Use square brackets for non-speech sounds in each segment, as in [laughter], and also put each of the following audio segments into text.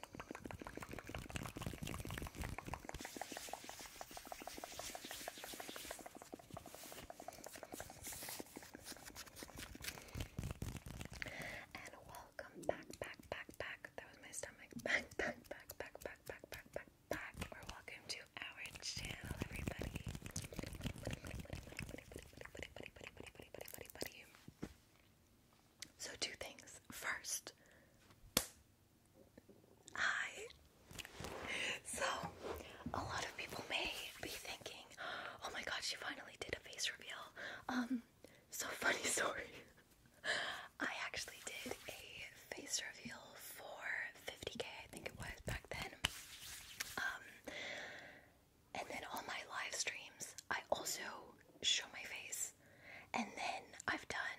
and welcome back, back, back, back. That was my stomach. [laughs] Back, back, back, back, back, back, back, back, back. Or welcome to our channel, everybody. So, two things. First, Hi. So, a lot of people may be thinking, oh my god, she finally did a face reveal. Um, so [laughs] funny story. I actually did a face reveal for 50k, I think it was back then. Um, and then on my live streams, I also show my face. And then I've done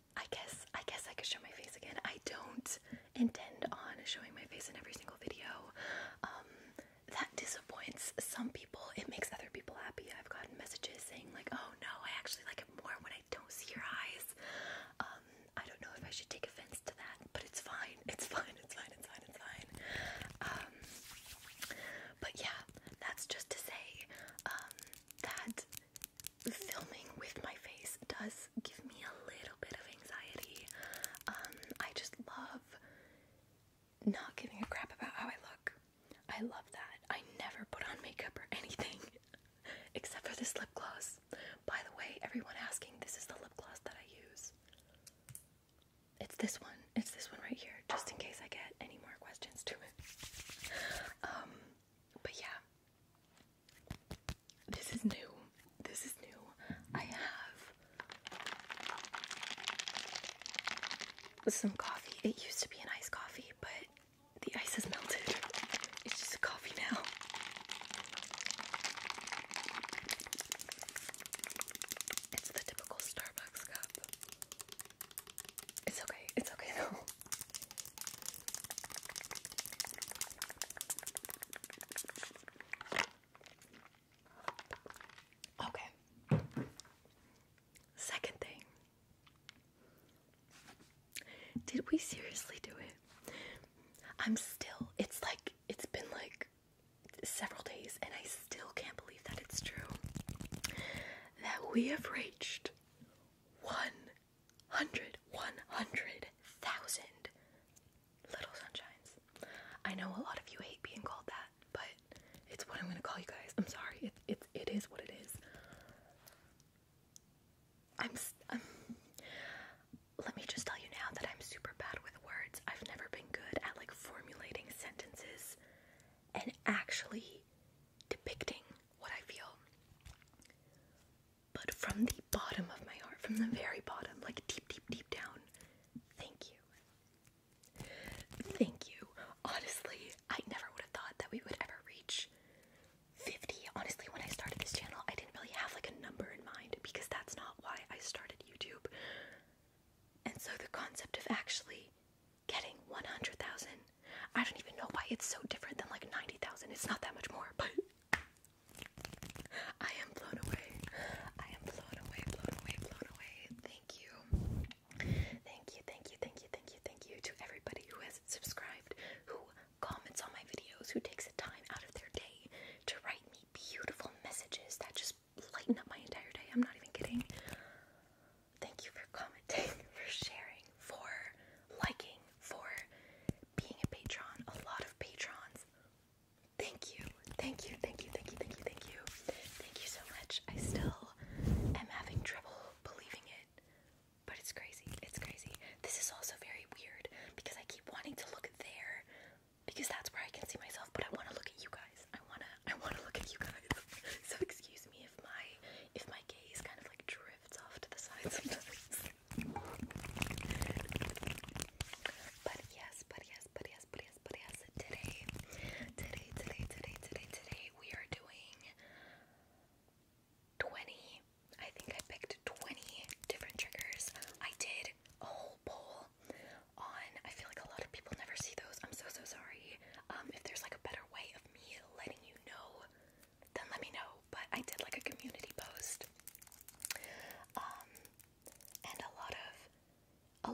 I guess I guess I could show my face again. I don't intend on showing my face in every single video. Um, that disappoints some people. It makes other people happy. I've gotten messages saying like, "Oh no, I actually like it more when I don't see your eyes." Um, I don't know if I should take offense to that, but it's fine. It's fine. It's fine. It's fine. It's fine. Um, but yeah, that's just to say that filming with my face does give me a little bit of anxiety. Um, I just love not giving a crap about how I look. I love that. I never put on makeup or anything [laughs] except for this lip gloss. By the way, everyone asking, this is the lip gloss that I use. It's this one. It's this one right here, just in case I get any more questions to um, but yeah, this is new. This is new. I have some coffee. It used to be an iced coffee, but the ice has melted. It's just a coffee now. It's the typical Starbucks cup. It's okay. It's okay though. Okay. Second thing. Did we seriously do it? I'm still, it's like, it's been like several days, and I still can't believe that it's true that we have reached one hundred, one hundred thousand little sunshines. I know a lot of you hate being called that, but it's what I'm gonna call you guys. I'm sorry. It it it is what it is. Let me just tell you now that I'm super bad with words. I've never been good at like formulating sentences and actually depicting what I feel but from the bottom of my heart, from the very bottom, like deep, deep, deep down, thank you. Thank you. Honestly, I never would have thought that we would ever reach 50. Honestly, when I started this channel, I didn't really have like a number in mind because that's not why I started YouTube. And so the concept of actually getting 100,000, I don't even know why it's so different than like 90,000. It's not that much more, but I am blown away. I am blown away, blown away, blown away. Thank you. Thank you, thank you, thank you, thank you, thank you to everybody who has subscribed, who comments on my videos, who takes a time out of their day to write me beautiful messages that just lighten up my entire day. I'm not even kidding. Thank you for commenting, [laughs] for sharing, for liking, for being a patron, a lot of patrons. Thank you, thank you, thank you, thank you, thank you, thank you, thank you so much. I still am having trouble believing it, but it's crazy, it's crazy. This is also very weird because I keep wanting to look there because that's where I can see myself, but I want to look at you guys. I wanna, I wanna look at you guys. [laughs] so excuse me if my if my gaze kind of like drifts off to the side sometimes. But yes, but yes, but yes, but yes, but yes. Today, today, today, today, today, today, we are doing 20. I think I picked 20 different triggers. I did a whole poll on. I feel like a lot of people never see those. I'm so so sorry. Um, if there's like a better way of me letting you know, then let me know but I did like a community post. Um, and a lot of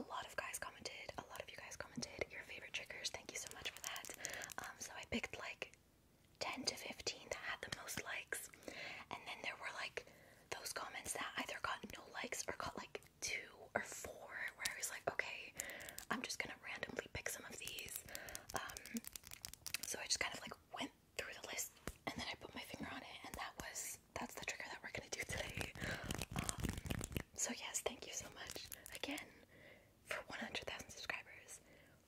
a lot of guys commented, a lot of you guys commented your favorite triggers. Thank you so much for that. Um, so I picked like 10 to 15 that had the most likes. And then there were like those comments that either got no likes or got like two or four, where I was like, okay, I'm just gonna randomly pick some of these. Um, so I just kind of like went through the list and then I put my finger on it and that was that's the trigger that we're gonna do today. Um, so yes, thank you so much again for 100,000 subscribers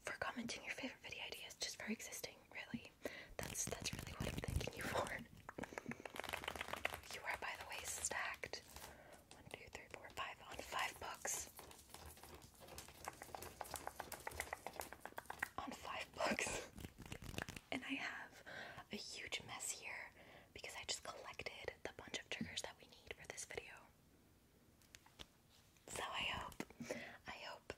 for commenting your favorite video ideas just for existing. Really, that's that's really what I'm thanking you for. you are by the way stacked one, two, three, four, five on five books on five books. and I have a huge mess here because I just collected the bunch of triggers that we need for this video. So I hope, I hope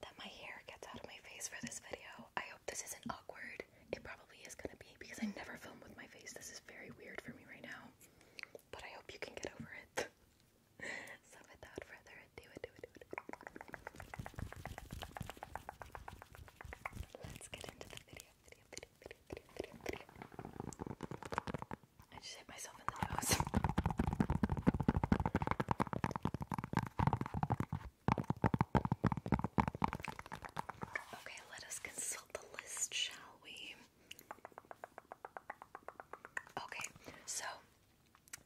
that my hair gets out of my face for this video. I hope this isn't awkward. It probably is gonna be because I never filmed with my face. This is very weird for me right now. But I hope you can get over it. [laughs] so without further ado, let's get into the video, I just hit myself in the nose. okay, let us consult the list, shall we? Okay, so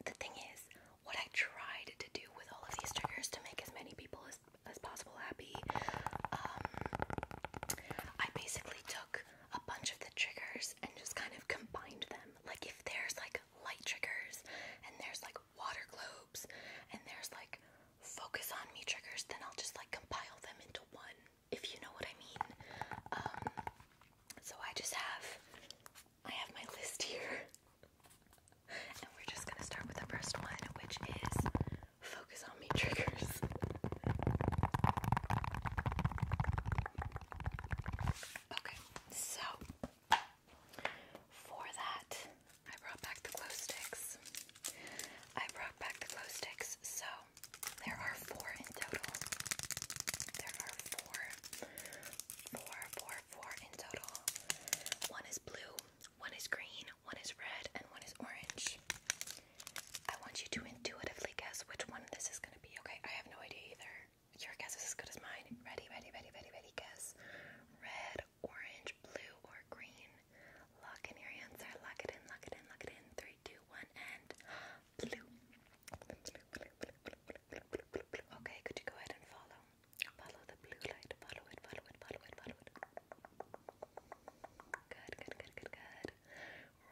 the thing is, what I tried to do with all of these triggers to make as many people as, as possible happy, um, I basically took a bunch of the triggers and just kind of combined them. Like, if there's like light triggers, and there's like water globes, and there's like focus on me triggers, then I'll just like compile them into one, if you know what I mean. Um, so I just have I have my list here. and we're just gonna start with the first one, which is focus on me triggers. okay, so for that, I brought back the glow sticks. I brought back the glow sticks, so there are four in total. There are four four, four, four in total. One is blue, one is green, one is red, and one is orange. I want you to intuitively guess which one this is going to be, okay? I have no idea either. Your guess is as good as mine. Ready, ready, ready, ready, ready, guess. Red, orange, blue, or green. Lock in your answer. Lock it in, lock it in, lock it in. Three, two, one, and. Okay, could you go ahead and follow? Follow the blue light. Follow it, follow it, follow it, follow it. Good, good, good, good, good.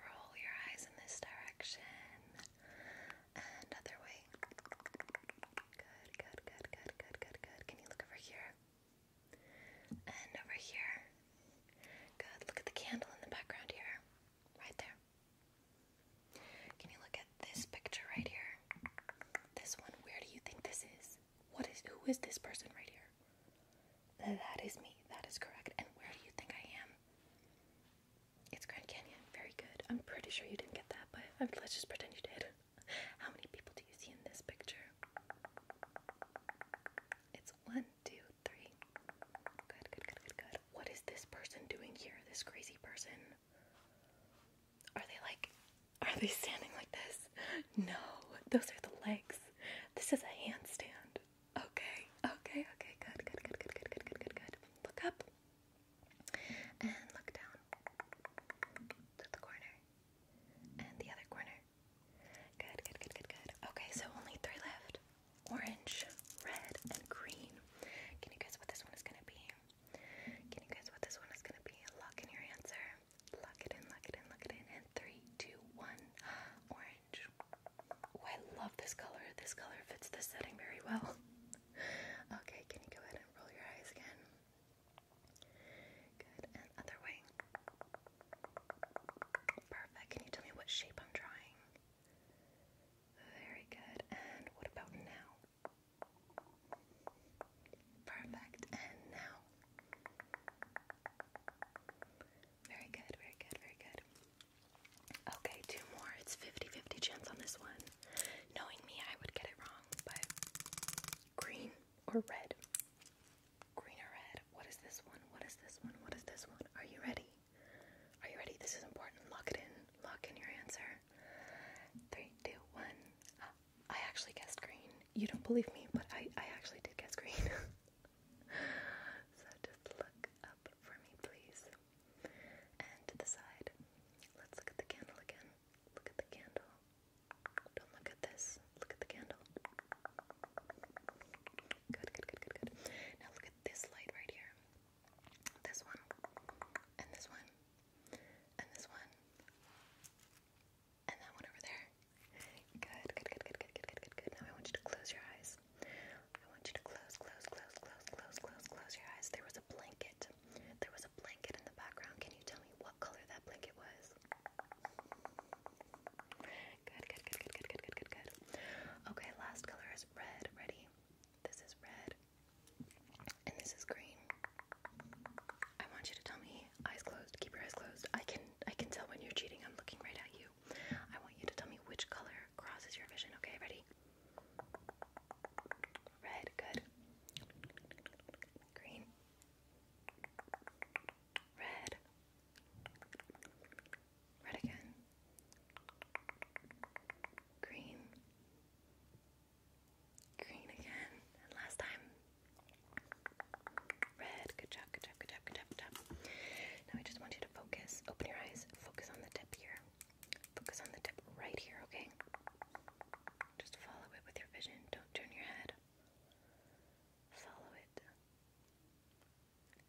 Roll your eyes in this direction. And other way. Good, good, good, good, good, good, good. Can you look over here? And over here. Good. Look at the candle in the background here. Right there. Can you look at this picture right here? This one, where do you think this is? What is who is this person right here? That is me. That is correct. And where do you think I am? It's Grand Canyon. Very good. I'm pretty sure you didn't get that, but let's just pretend you did. [laughs] How many people do you see in this picture? It's one, two, three. Good, good, good, good, good. God, what is this person doing here? This crazy person? Are they like, are they standing like this? No, those are the legs. This is a handstand. Okay, okay, okay, good, good, good, good, good, good, good, good, good. Look up and look down to the corner and the other corner. Good, good, good, good, good. Okay, so only three left orange, red, and green. Can you guess what this one is gonna be? Can you guess what this one is gonna be? Lock in your answer. Lock it in, lock it in, lock it in. And three, two, one. [gasps] Orange. Oh, I love this color. This color fits the setting very well. [laughs] Okay, can you go ahead and roll your eyes again? Good, and other way. Perfect. Can you tell me what shape I'm drawing? Very good. And what about now? Perfect. And now. Very good, very good, very good. Okay, two more. It's 50 chance on this one. Knowing me, I would get it wrong, but green or red? Green or red? What is this one? What is this one? What is this one? Are you ready? Are you ready? This is important. Lock it in. Lock in your answer. Three, two, one. Uh, I actually guessed green. You don't believe me, but I, I actually did guess green. [laughs] so just look up for me, please. And to the side. Let's look at the candle again. Look at the candle. Don't look at this. Look at the candle. Good, good, good, good, good. Now look at this light right here this one, and this one, and this one, and that one over there. Good, good, good, good, good, good, good, good, good. Now I want you to close your eyes. I want you to close, close, close, close, close, close, close your eyes. There was a blanket. There was a blanket in the background. Can you tell me what color that blanket was? Good, good, good, good, good, good, good, good, good. Okay, last color is red. Ready? This is red and this is green. I want you to tell me, eyes closed, keep your eyes closed. I can I can tell when you're cheating. I'm looking right at you. I want you to tell me which color crosses your vision. Okay, ready? Red, good. Green. Red. Red again. Green. Green again. last time. Red. Good job, good job, good job, good job, good job. Now I just want you to focus. Open your eyes. Focus on the tip here. Focus on the tip right here, okay? Just follow it with your vision. Don't turn your head. Follow it.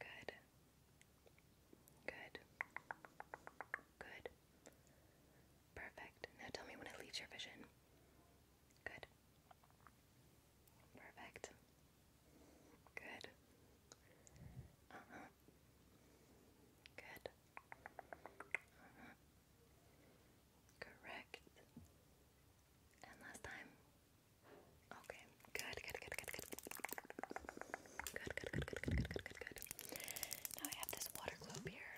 Good. Good. Good. Perfect. Now tell me when it leaves your vision. Good. Perfect. Good. Uh-huh. Good. Uh-huh. Correct. And last time. Okay. Good, good, good, good, good. Good, good, good, good, good, good, good, good, good. Now I have this water globe here.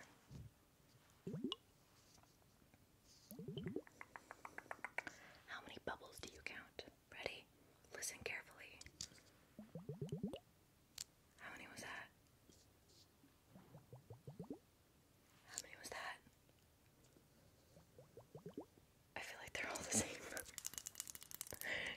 How many bubbles do you count? Ready? Listen carefully. How many was that? How many was that? I feel like they're all the [laughs] same.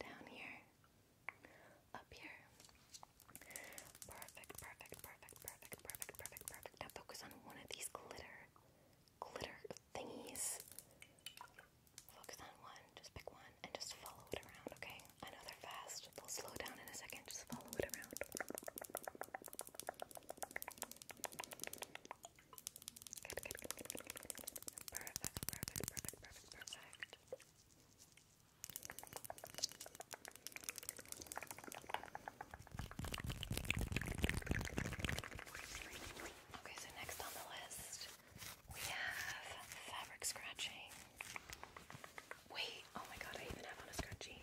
Down here. Up here. Perfect, perfect, perfect, perfect, perfect, perfect, perfect. Now focus on one of these glitter, glitter thingies. Focus on one. Just pick one and just follow it around, okay? I know they're fast. They'll slow down in a second. Just follow it around. Perfect, perfect, perfect, perfect, perfect. Okay, so next on the list we have fabric scratching. Wait, oh my god, I even have on a scrunchie.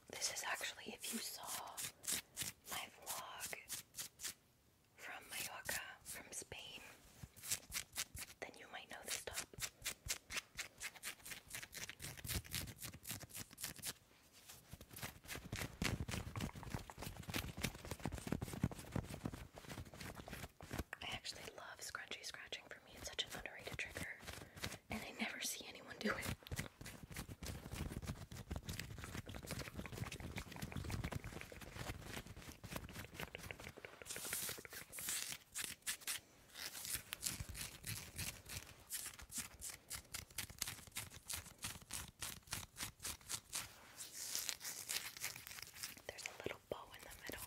this is actually if you saw my vlog from Mallorca, from Spain, then you might know this top. I actually love scrunchy scratching for me. It's such an underrated trigger and I never see anyone do it. There's a little bow in the middle.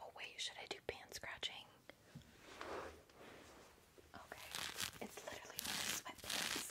Oh, wait, should I do pan scratching? Okay, it's literally my sweatpants.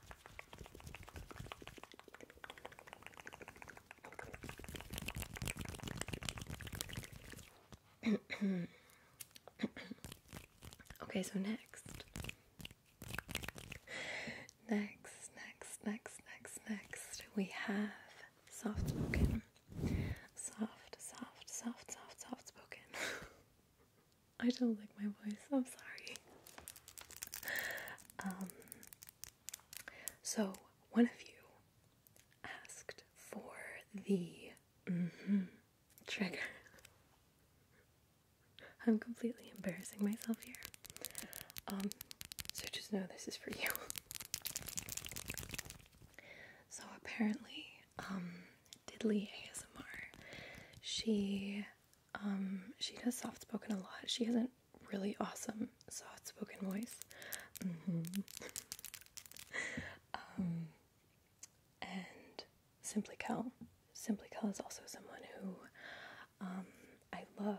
[coughs] okay, so next. Next, next, next, next, next, we have soft spoken. Soft, soft, soft, soft, soft spoken. [laughs] I don't like my voice, I'm sorry. Um, so, one of you asked for the mm-hmm, trigger. [laughs] I'm completely embarrassing myself here. Um, so just know this is for you. [laughs] so apparently, um, Didley ASMR, she um, she does soft spoken a lot. She has a really awesome soft spoken voice. Mm-hmm. [laughs] Um, and Simply Cal. Simply Cal is also someone who um, I love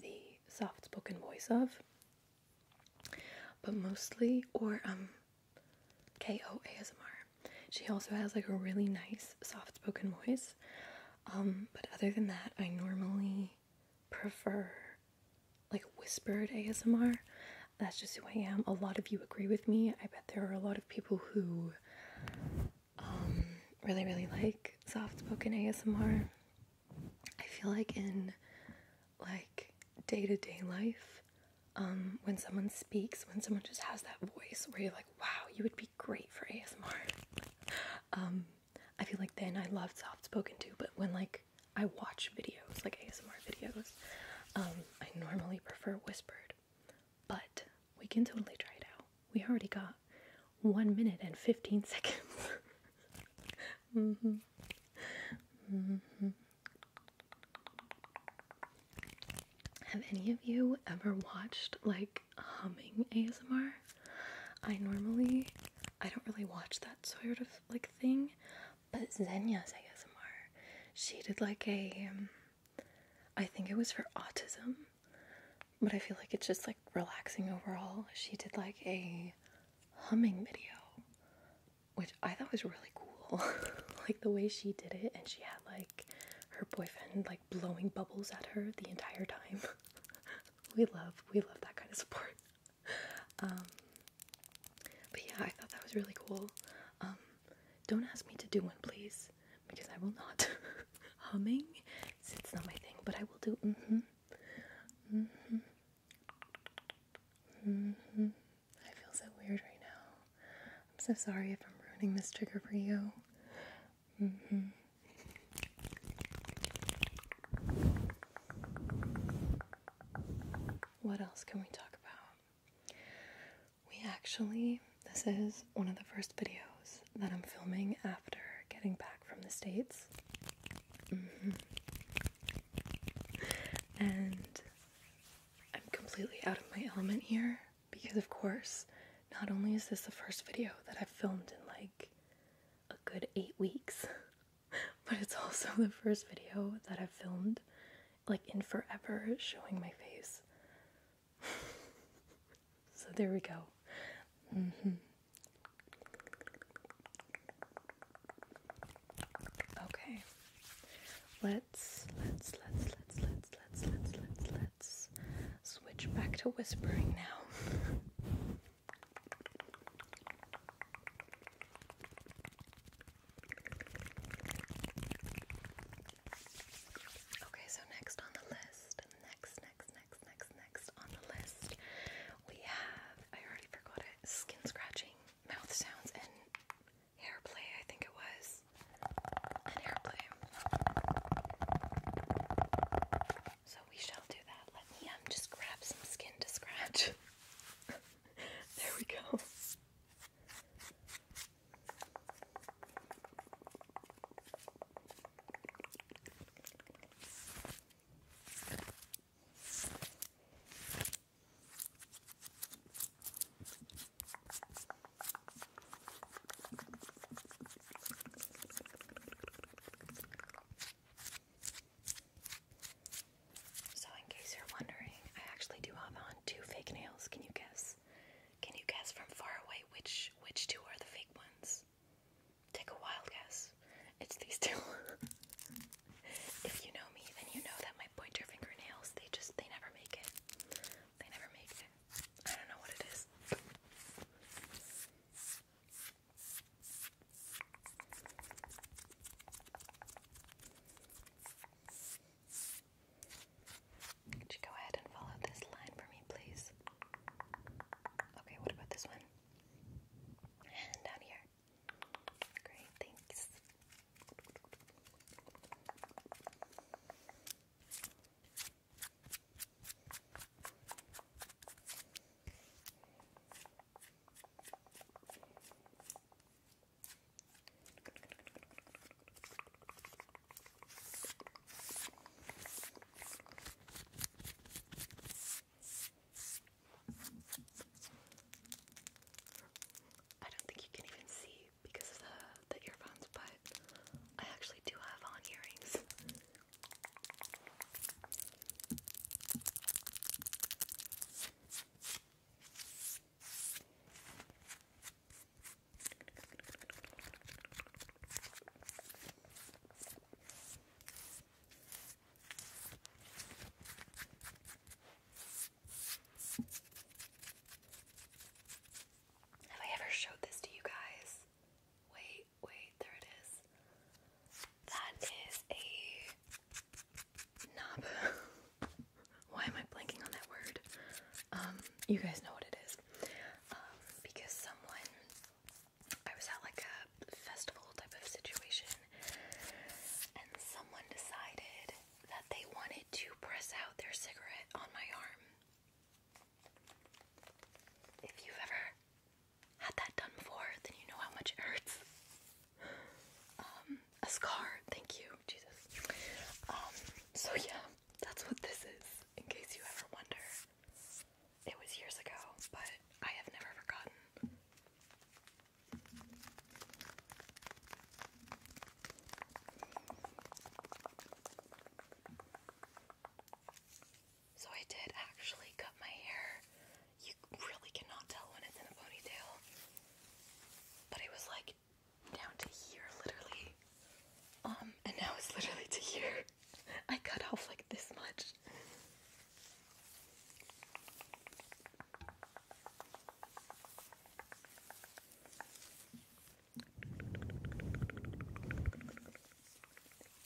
the soft spoken voice of, but mostly, or K O A S M R. She also has like a really nice soft spoken voice. Um, but other than that, I normally prefer like whispered ASMR. That's just who I am. A lot of you agree with me. I bet there are a lot of people who um, really, really like soft spoken ASMR. I feel like in like day to day life, um, when someone speaks, when someone just has that voice where you're like, wow, you would be great for ASMR. Um, I feel like then I love soft spoken too, but when like I watch videos, like ASMR videos, um, I normally prefer whispered. But we can totally try it out. We already got one minute and 15 [laughs] seconds. Mm-hmm. Mm-hmm. Have any of you ever watched like humming ASMR. I normally I don't really watch that sort of like thing, but Zenya's ASMR, she did like a um, I think it was for autism, but I feel like it's just like relaxing overall. She did like a humming video, which I thought was really cool. [laughs] like the way she did it and she had like her boyfriend like like blowing bubbles at her the entire time. [laughs] we love we love that kind of support. [laughs] Um, but yeah, I thought that was really cool. Um, don't ask me to do one, please, because I will not. [laughs] Humming, it's, it's not my thing, but I will do. Mm-hmm. Mm-hmm. Mm-hmm. I feel so weird right now. I'm so sorry if I'm ruining this trigger for you. Mm -hmm. What else can we talk about? We actually, this is one of the first videos that I'm filming after getting back from the States. Mm-hmm. And I'm completely out of my element here because, of course, not only is this the first video that I've filmed in like a good eight weeks, [laughs] but it's also the first video that I've filmed like in forever showing my face. [laughs] so there we go. Mm-hmm. Okay. let's let's switch back to whispering now. okay, so next on the list, next, next, next, next, next on the list, we have, I already forgot it, skin scratching, mouth sounds, and hair play, I think it was. An airplane. So we shall do that. Let me um just grab some skin to scratch. [laughs] there we go. So, in case you're wondering, I actually do have on two fake nails. Can you guess? Can you guess from far away which which two are the fake ones? Take a wild guess. It's these two. [laughs] if you know me, then you know that my pointer finger they just they never make it. They never make it. I don't know what it is. Could you go ahead and follow this line for me, please? Okay, what about this one? And down here. Great, thanks. I don't think you can even see because of the, the earphones, but I actually do have on earrings. Have I ever showed this to you guys? Wait wait, there it is. That is a knob. [laughs] Why am I blanking on that word? Um, you guys know what it is. Um, because someone, I was at like a festival type of situation, and someone decided that they wanted to press out their cigarette on my arm. If you've ever had that done before, then you know how much it hurts. Um, a scar. Thank you, Jesus. Um, so yeah, that's what this is. In case you ever wonder, it was years ago, but I have never forgotten. So I did actually cut my hair. You really cannot tell when it's in a ponytail. But it was like down to here, literally. Um, and now it's literally to here. [laughs] I cut off like this much.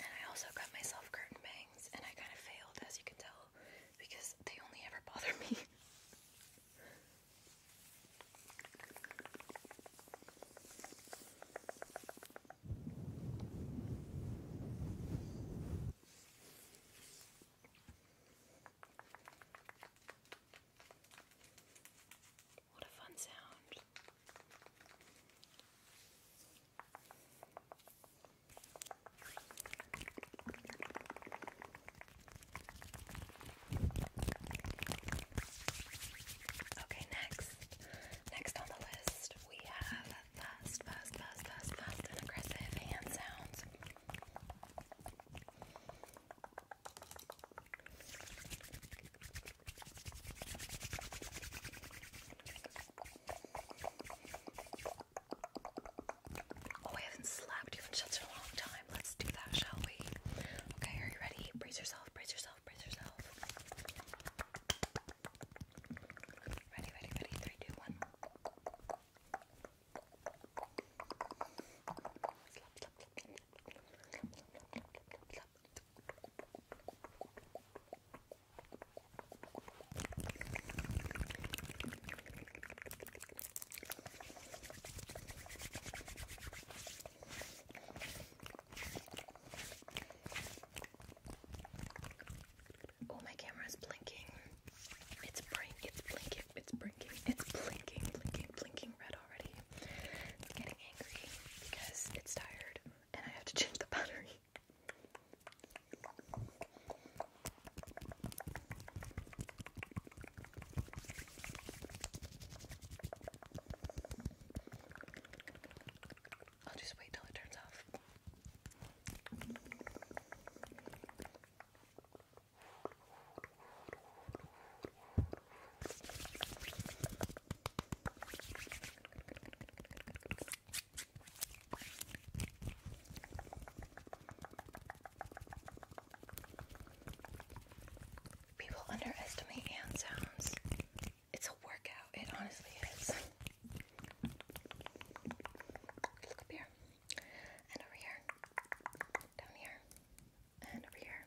And I also got myself curtain bangs, and I kind of failed, as you can tell, because they only ever [laughs] bother me. What a fun sound. Okay, next. Next on the list, we have fast, fast, fast, fast, fast, aggressive hand sounds. Oh, I haven't slapped you in a long time. Let's do that, shall we? Okay, are you ready? Brace yourself, brace yourself, brace yourself. Ready, ready, ready. Three, two, one. Oh, my camera is blinking. It's blink. It's blinking. It's blinking. It's blinking. Blinking. Blinking red already. It's getting angry because it's tired, and I have to change the battery. I'll just wait till it turns off. People underestimate hand sounds. It's a workout. It honestly is. Look up here. And over here. Down here. And over here.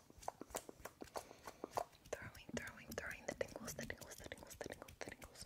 Throwing, throwing, throwing the tingles, the tingles, the tingles, the tingles, the tingles.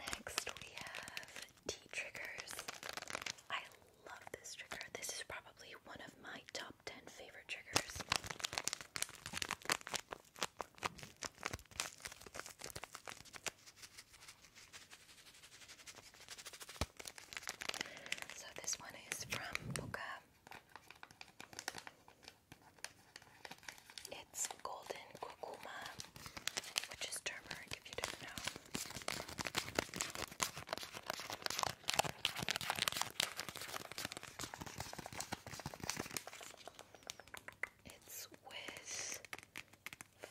Next, we have tea triggers. I love this trigger. This is probably one of my top 10 favorite triggers. So this one is from Boca. It's golden kurkuma, which is turmeric if you don't know. It's with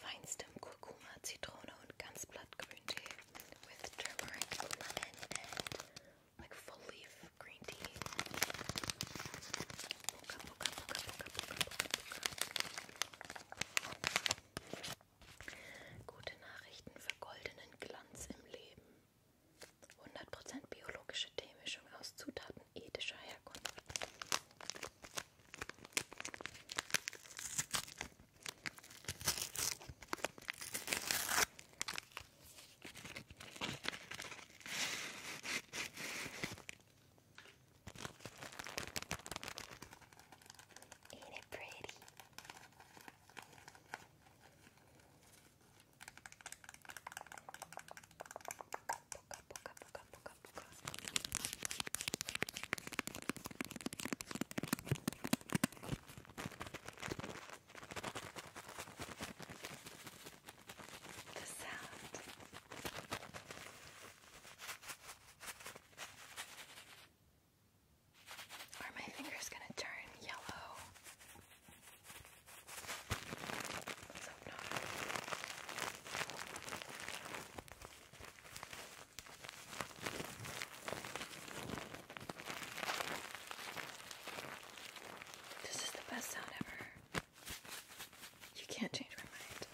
feinstem Kurkuma, Zitrone und ganz blattgrün Tee with turmeric, lemon and like full leaf green tea. Boca, boca, boca, boca, boca, boca. Gute Nachrichten für goldenen Glanz im Leben. 100% biologische Teemischung aus Zutaten ethischer Herkunft. Ain't it pretty? Poka, poka, poka, poka, poka, the sound are my fingers going to turn yellow? Let's hope not. This is the best sound ever. You can't change my mind.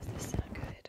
Does this sound good?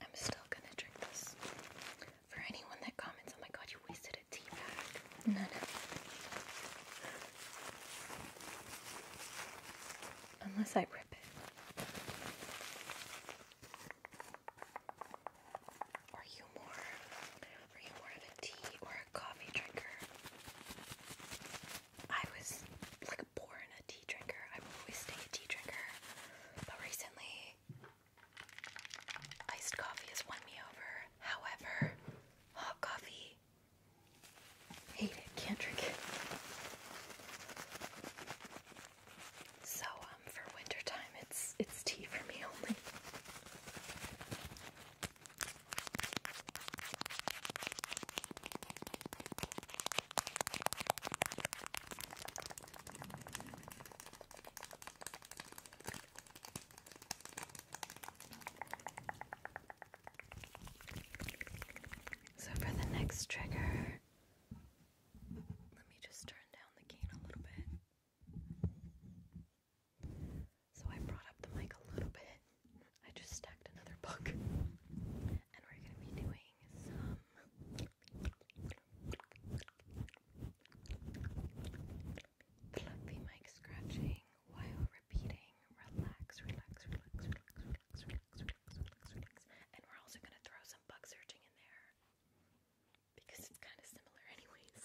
I'm still gonna drink this. For anyone that comments, oh my god, you wasted a tea bag. No, no. Unless I rip it. Are you more are you more of a tea or a coffee drinker? I was like a tea drinker. I'm always staying a tea drinker. But recently iced coffee has won me over. However, hot coffee hate it, can't drink it. So um for wintertime, it's it's tea for me only. So, for the next trigger, let me just turn down the gain a little bit. So, I brought up the mic a little bit. I just stacked another book, and we're going to be doing some Fluffy mic scratching while repeating. Relax, relax, relax, relax, relax, relax, relax, relax, relax. And we're also gonna throw some bug searching in there because it's kind of similar, anyways.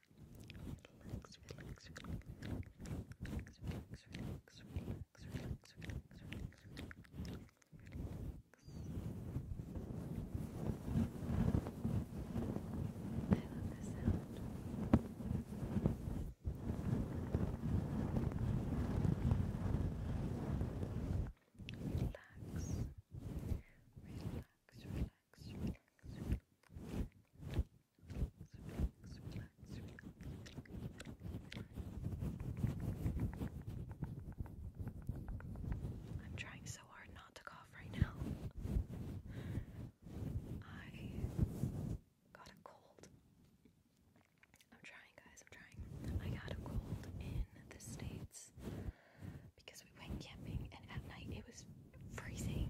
Relax, relax, relax, relax, relax, relax, relax, relax, relax, relax, relax. I love this sound. Relax, relax, relax. I'm trying so hard not to cough right now. I got a cold. I'm trying, guys, I'm trying. I got a cold in the States because we went camping and at night it was freezing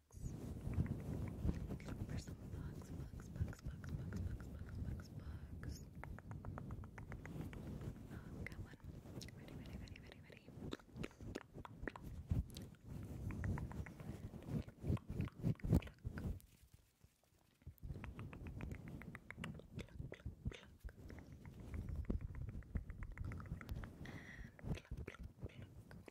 Looking for some bugs, bugs, bugs, bugs, bugs, bugs, bugs, bugs, bugs. Oh, got one. Ready, ready, ready, ready, ready. Pluck. Pluck, pluck, pluck. And pluck, pluck, pluck.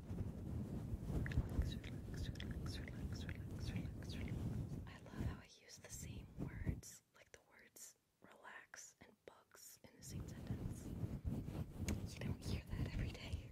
I love how I use the same words, like the words relax and bugs in the same sentence. You don't hear that every day.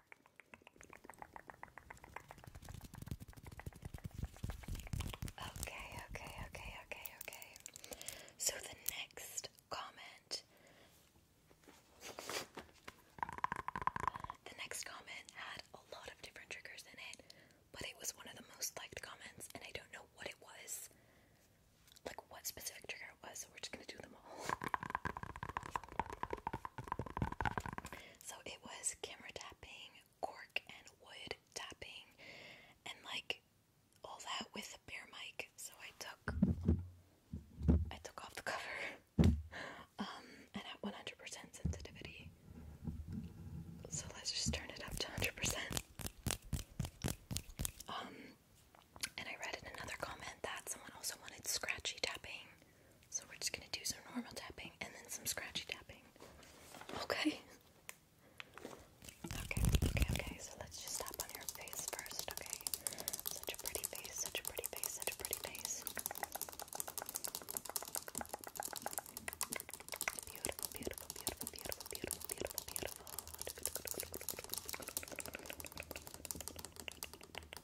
Okay, okay, okay, okay, okay. So the next comment. The next comment had a lot of different triggers in it, but it was one of the most liked comments, and I don't know what it was. Like, what specific trigger it was, so we're just gonna do them all. So it was camera tapping, cork and wood tapping, and like all that with a bear mic. So I took I took off the cover. [laughs] Um and at 100% sensitivity. So let's just turn it up to 100%. Um and I read in another comment that someone also wanted scratchy tapping. So we're just gonna do some normal tapping and then some scratchy tapping. Okay. Okay, okay, okay. So let's just tap on your face first, okay? Such a pretty face, such a pretty face, such a pretty face.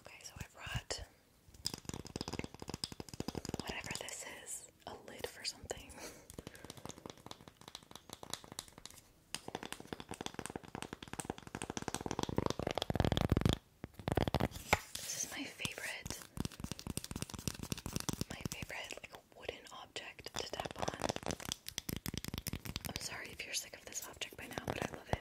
Okay, so I brought whatever this is, a lid for something. This is my favorite, my favorite like wooden object to tap on. I'm sorry if you're sick of this object by now, but I love it.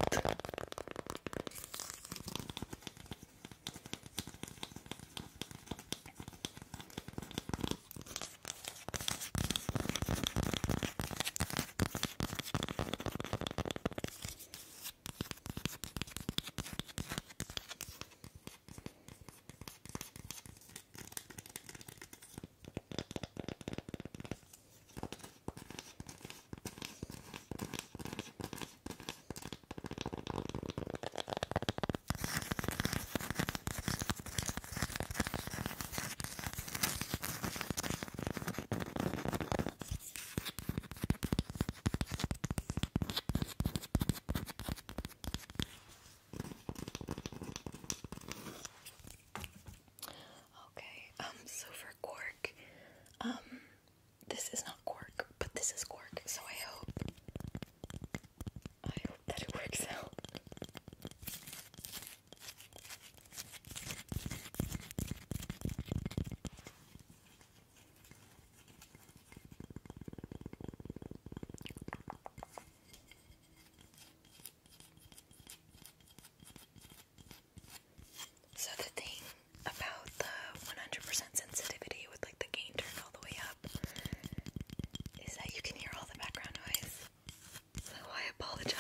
Okay, I'm um, so for for Um, this is not cork, but this is cork, so I hope I hope that it works [laughs] out. So the thing about the 100% sensitivity with like the gain turned all the way up is that you can hear all the background noise. So I apologize.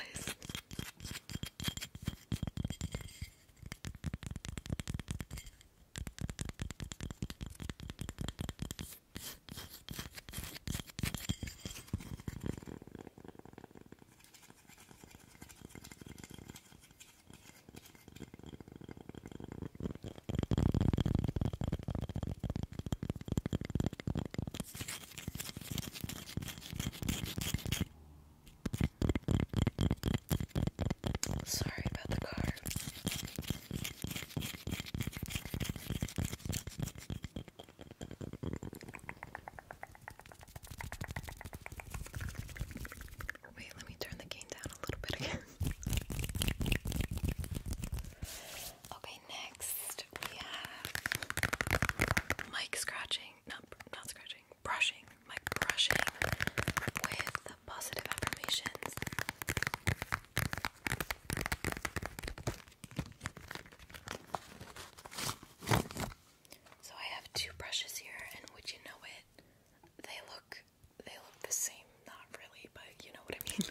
Sorry about the car. Wait, let me turn the gain down a little bit again. okay, next we have mic scratching. Not not scratching, brushing. Mic brushing with positive affirmations. So I have two brushes here, and would you know it? They look they look the same, not really, but you know what I mean.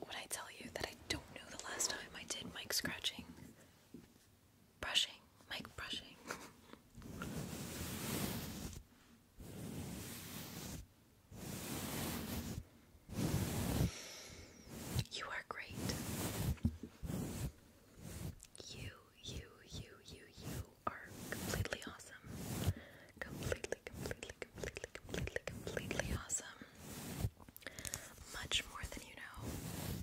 When I tell you that I don't know the last time I did mic scratching, brushing, mic brushing. You are great. You, you, you, you, you are completely awesome. Completely, completely, completely, completely, completely awesome. Much more than you know.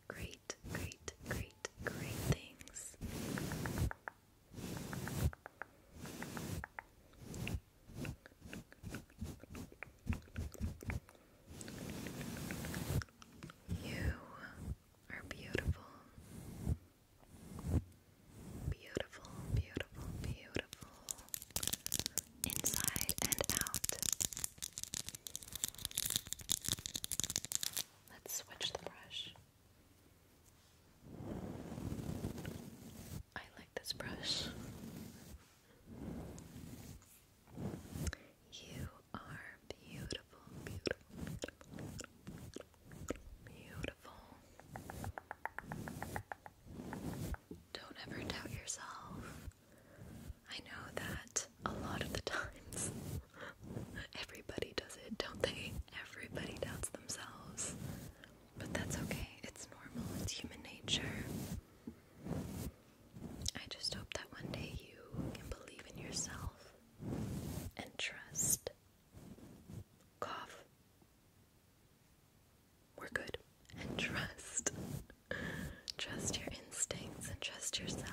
great, great, great, great things. You are beautiful. Beautiful, beautiful, beautiful inside and out. Let's switch the brush. I like this brush. You are beautiful, beautiful, beautiful, Don't ever doubt yourself. I know that a lot of the times [laughs] everybody does it, don't they? Everybody doubts themselves. But that's okay. It's normal. It's human nature. I just hope that one day you can believe in yourself and trust. Cough. We're good. And trust Trust your instincts and trust yourself.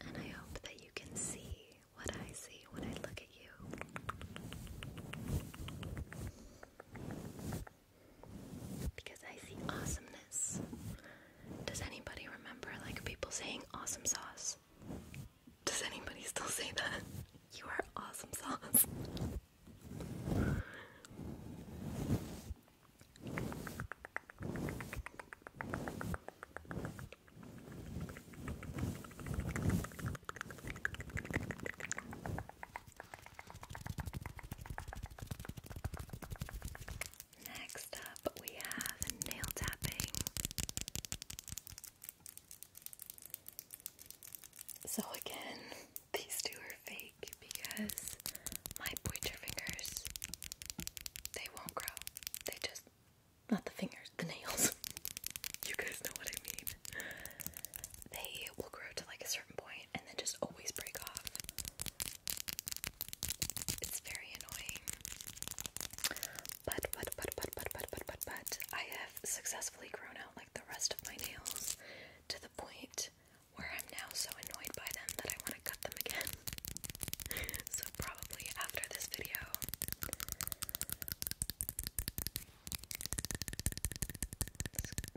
And I hope that you can see what I see when I look at you. Because I see awesomeness. Does anybody remember like people saying awesome sauce? Does anybody still say that? You are awesome sauce. Next up, we have nail tapping. So again, [laughs] these two are fake because my pointer fingers they won't grow. They just not the fingers, the nails. [laughs] you guys know what I mean. They will grow to like a certain point and then just always break off. It's very annoying. But, but, but, but, but, but, but, but, but, I have successfully grown out like the rest of my nails to the point where I'm now so annoyed by them that I want to cut them again. [laughs] so, probably after this video.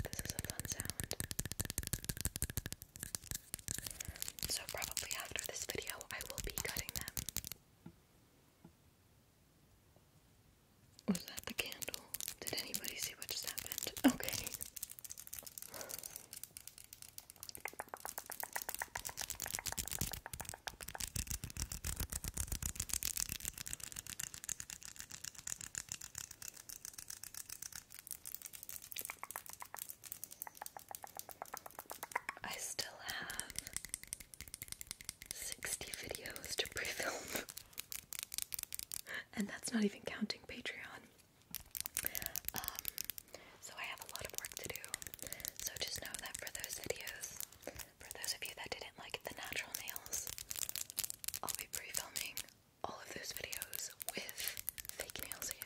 This, is a fun sound. So, probably after this video, I will be cutting them. Was that the candle? Did anybody see what just happened? Okay. I still have 60 videos to pre film, [laughs] and that's not even counting Patreon. Um, so I have a lot of work to do. So just know that for those videos, for those of you that didn't like the natural nails, I'll be pre filming all of those videos with fake nails again.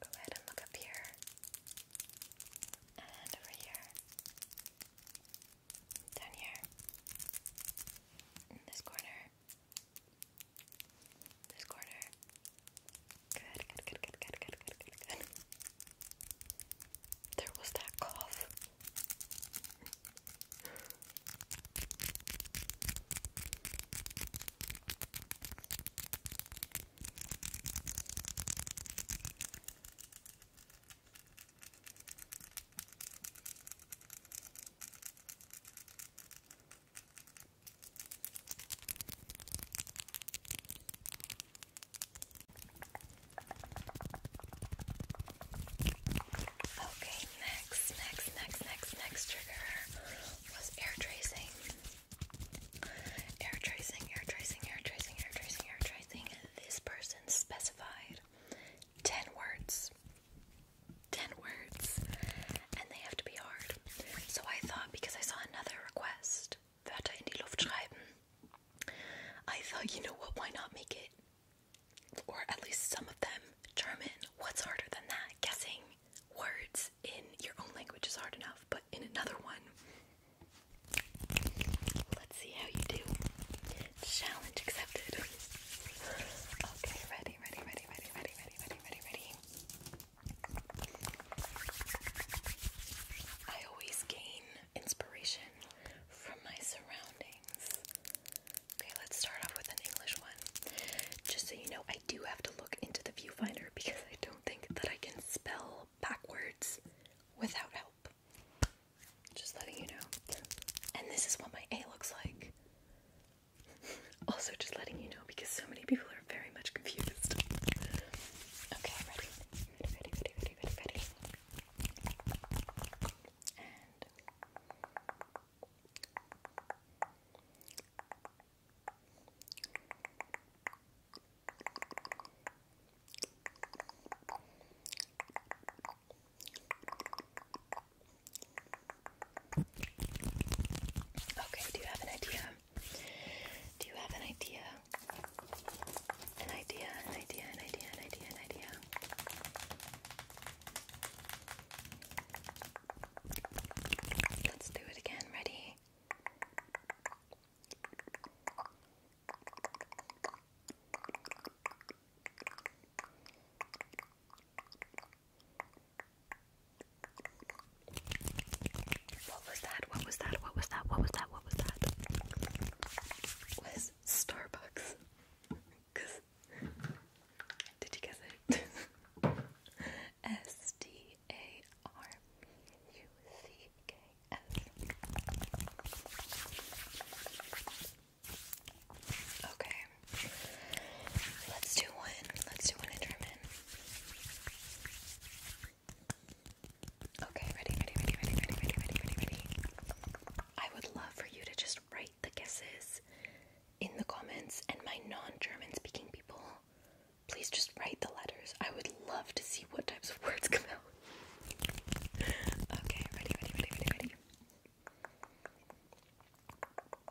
Go ahead and look up here and over here, down here, in this corner, this corner. Good, good, good, good, good, good, good, good, There was that cough. Okay, next, next, next, next, next trigger was air tracing. Air tracing, air tracing, air tracing, air tracing, air tracing. This person specified 10 words. 10 words. And they have to be hard. So I thought, because I saw another request, Wörter I thought, you know what, why not make it? Or at least some of them German. What's harder than that? Guessing words in your own language is hard enough, but in another one. Let's see how you do. Challenge accepted. Okay, ready? ready, ready, ready, ready, ready, ready, ready, ready, I always gain inspiration from my surroundings. Okay, let's start off with an English one. Just so you know, I do have to look into the viewfinder because I don't think that I can spell backwards without help. Just letting you know. And this is what my A looks like. Also, just letting you know because so many people are very much confused. Okay, ready? Okay, do you have an idea? Do you have an idea? An idea, an idea, an idea, an idea, Let's do it again. Ready? What was that? What was that? What was that? What was that? What was that? Was Starbucks. did you guess it? [laughs] S D A R U C K S. Okay. Let's do one. Let's do one in German. Okay, ready, ready, ready, ready, ready, ready, ready, ready, ready. I would love for you to just write the guesses in the comments and my non-German speaking people, please just write the letters. I would love to see what types of words come out. Okay, ready, ready, ready, ready, ready.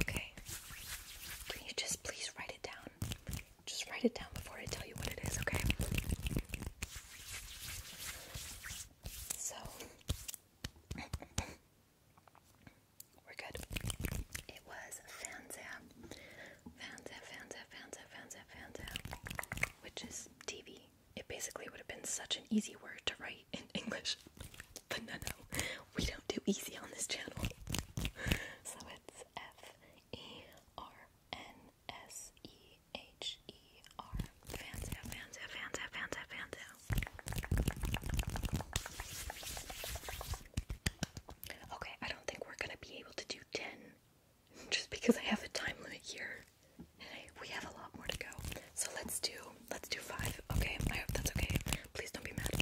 Okay. Can you just please write it down? Just write it down before I tell you what it is, okay? So we're good. It was Fanza. Fanza, Fanza, Fanza, Fanza, Fanza, which is TV. It basically would have been such an easy word to write in [laughs] English. But no, no, we don't do easy on this channel. So it's F E R N S E H E R. Fanza, Fanza, Fanza, Fanza, Fanza. Okay, I don't think we're gonna be able to do 10 [laughs] just because I have a time limit here. We have a lot more to go. So let's do let's do five. Okay, I hope that's okay. Please don't be mad.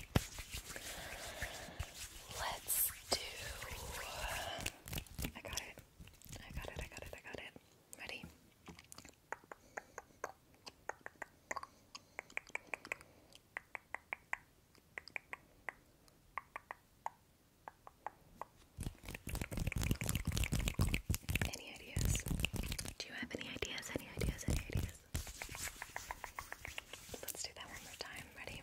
Let's do I got it. I got it, I got it, I got it. Ready? Any ideas? Do you have any ideas? Any ideas? Any ideas? Let's do that one more time. Ready?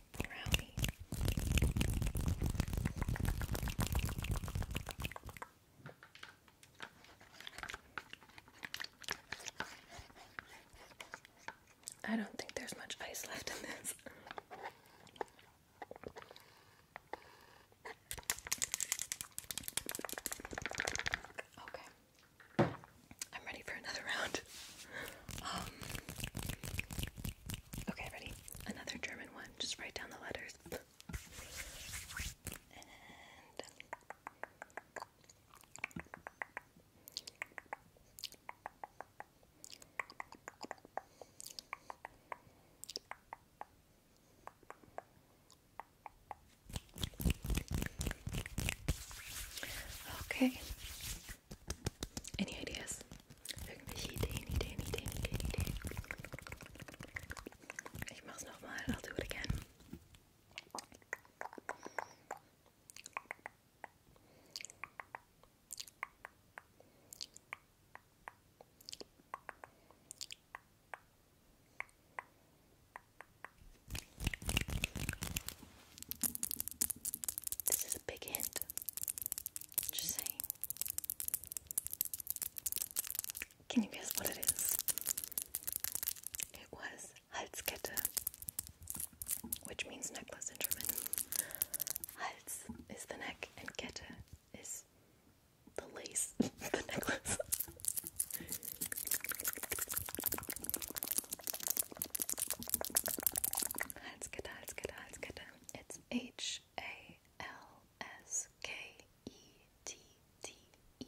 I don't think there's much ice left in this. okay. I'm ready for another round. Um, Okay, ready? Another German one. Just write down the letters. Uh, okay, any ideas? Irgendwelche Ideen, Ideen, Ideen, Ideen, Ideen. Ich mach's nochmal, do it again. This is a big hint. Just saying. Can you guess what it is? It was Halskette, which means necklace in German. Hals is the neck, and Kette is the lace, [laughs] the necklace. Halskette, Halskette, Halskette. It's H H A L S K E T T E.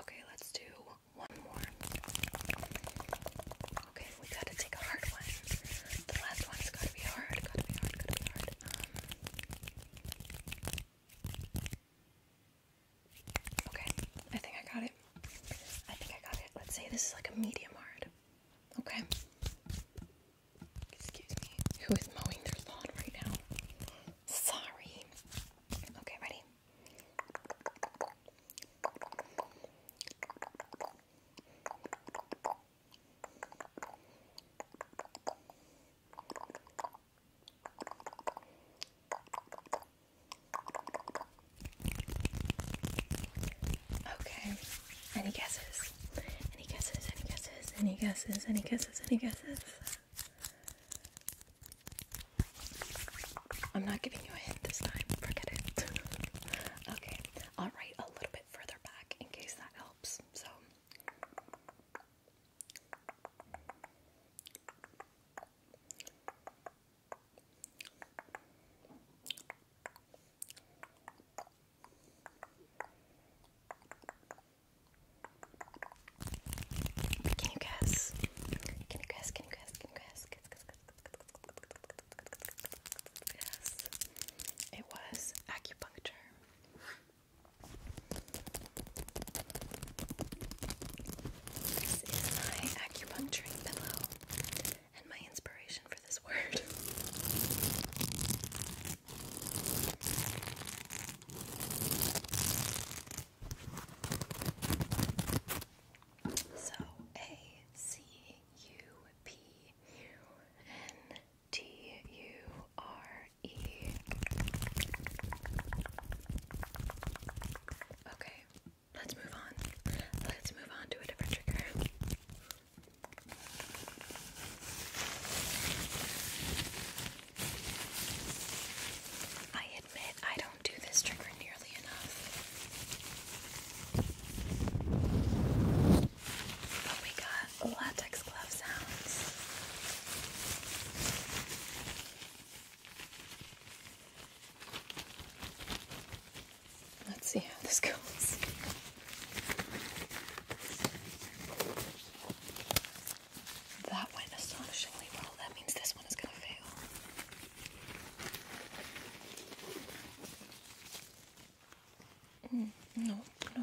Okay, let's do one more. Okay, we gotta take a hard one. The last one's gotta be hard, gotta be hard, gotta be hard. Um, okay, I think I got it. I think I got it. Let's say this is like a medium hard. Okay. Excuse me. Who is mowing their lawn right now? Sorry. Okay, ready? Okay. Any guesses? Any guesses? Any guesses? Any guesses? Any guesses? Any guesses? I'm not giving you a hint this time. Forget it. [laughs] okay. I'll write a little bit further back in case that helps. So. Can you guess? Can you guess? Can you guess? Can you guess? Guess, guess, guess, guess, It was acupuncture. This is my acupuncturing pillow and my inspiration for this word. So A C U P U N T U R E. Okay, Let's move on. Let's move on to a different trigger. I admit I don't do this trigger nearly enough. But we got latex glove sounds. Let's see how this goes. That went astonishingly well. That means this one is going to fail. Mm, no, no.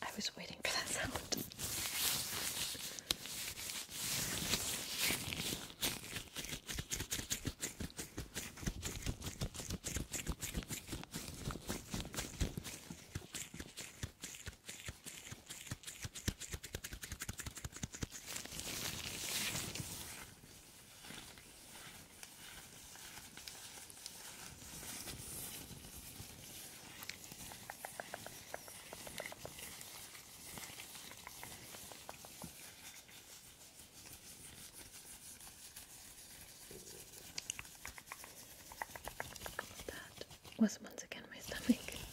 I was waiting for that sound. That was once again my stomach. [laughs]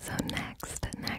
So next, next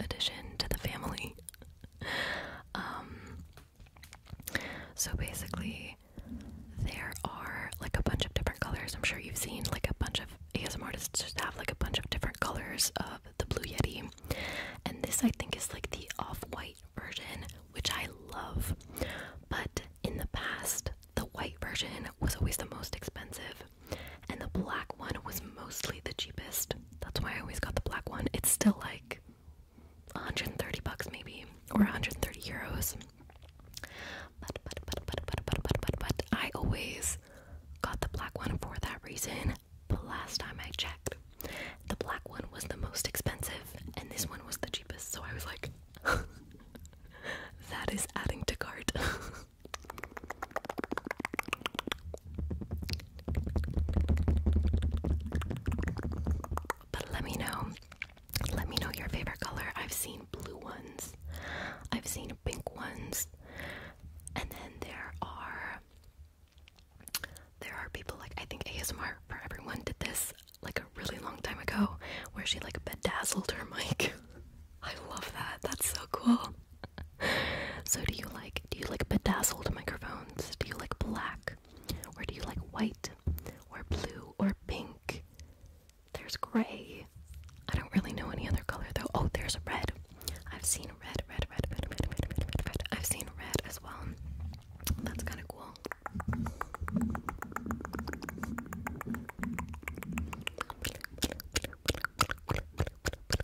addition to the family. Um, so basically, there are like a bunch of different colors. I'm sure you've seen like a bunch of ASM artists just have like a bunch of different colors of the Blue Yeti, and this I think is like the off white version, which I love. But in the past, the white version was always the most expensive and the black one was mostly the cheapest. That's why I always got the black one. It's still like 130 bucks maybe or 130 euros. But I always got the black one for that reason. The last time I checked, the black one was the most expensive and this one was the cheapest. So I was like [laughs] that is adding to cart. [laughs] But let me know. Let me know your favorite color. I've seen blue ones. I've seen pink ones. And then there are there are people like I think ASMR for everyone did this like a really long time ago where she like bedazzled her mic. [laughs] I love that. That's so cool so do you like do you like bedazzled microphones? Do you like black? Or do you like white or blue or pink? There's gray. I don't really know any other color though. Oh, there's red. I've seen red, red, red, red, red, red, red, red. I've seen red as well. That's kind of cool.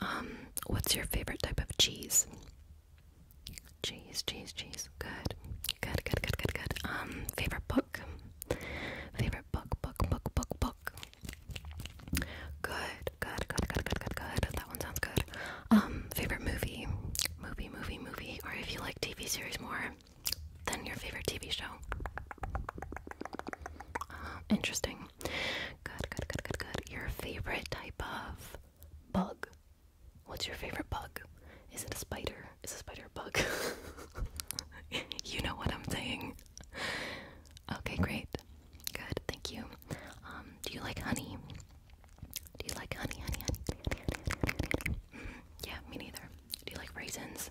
um, what's your favorite type of cheese? Cheese, cheese, cheese. Good. Good, good, good, good, good. Um, favorite book? Favorite book, book, book, book, book. Good, good, good, good, good, good, good. That one sounds good. Um, favorite movie? Movie, movie, movie. Or if you like TV series more, then your favorite TV show. Uh, interesting. Good, good, good, good, good. Your favorite type of bug. What's your favorite bug? Is it a spider? Is a spider a bug? [laughs] you know what I'm saying. Okay, great. Good, thank you. Um, do you like honey? Do you like honey, honey, honey? honey, honey, mm, yeah, me neither. Do you like raisins?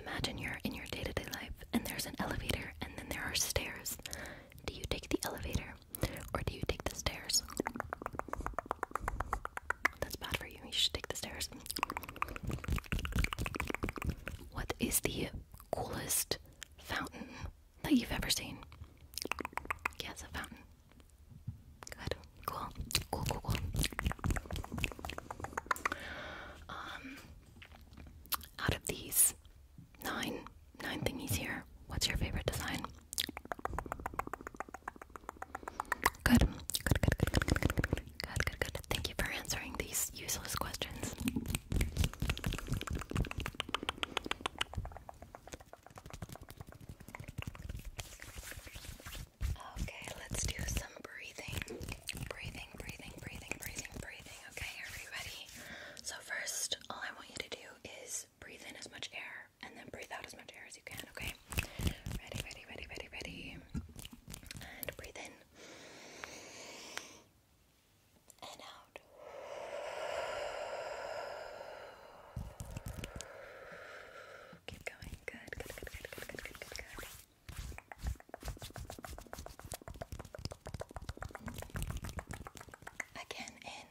imagine you're in your day to day life and there's an elevator and then there are stairs. Do you take the elevator or do you take the stairs? That's bad for you. You should take the stairs. What is the coolest fountain that you've ever seen? Yes, a fountain. Good. Cool. Cool, cool, cool. Um, out of these nine, nine thingies here, what's your favorite design? Good, good, good, good, good, good, good, good, good, good, good. Thank you for answering these useless questions. Okay, let's do some breathing. Breathing, breathing, breathing, breathing, breathing. Okay, are we ready? So, first, all I want you to do is breathe in as much air and then breathe out as much air as you can, okay? Ready, ready, ready, ready, ready. And breathe in. And out. Keep going. Good, good, good, good, good, good, good, good, good. Again, in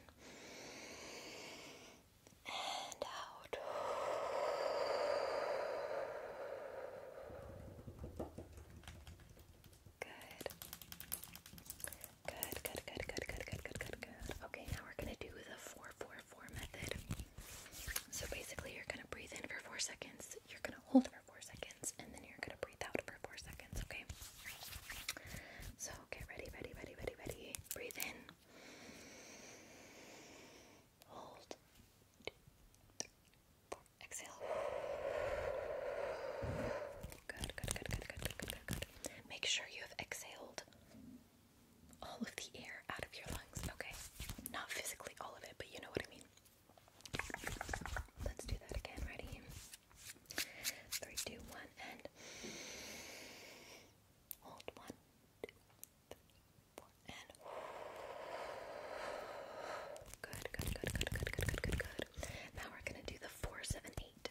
and out. Good. Good, good, good, good, good, good, good, good, Okay, now we're gonna do the 4 method. So basically, you're gonna breathe in for 4 seconds, you're gonna hold for four seconds, and then you're gonna breathe out for four seconds, okay? So, okay, ready, ready, ready, ready, ready. Breathe in. Hold. Two, three, four. Exhale. Good, good, good, good, good, good, good, good, good. Make sure you have exhaled all of the air out of your lungs, okay? Not physically all of it, but you know what I mean. Let's do that again. Ready? Three, two, one, and hold one, two, three, four, and good, good, good, good, good, good, good, good, Now we're gonna do the four, seven, eight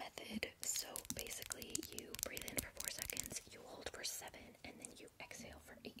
method. So basically, you breathe in for four seconds, you hold for seven, and then you exhale for eight.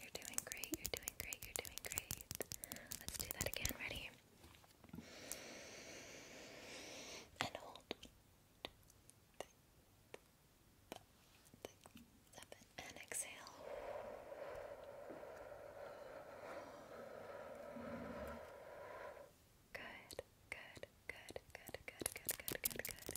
You're doing great. You're doing great. You're doing great. Let's do that again. Ready? And hold. And exhale. good, good, good, good, good, good, good, good.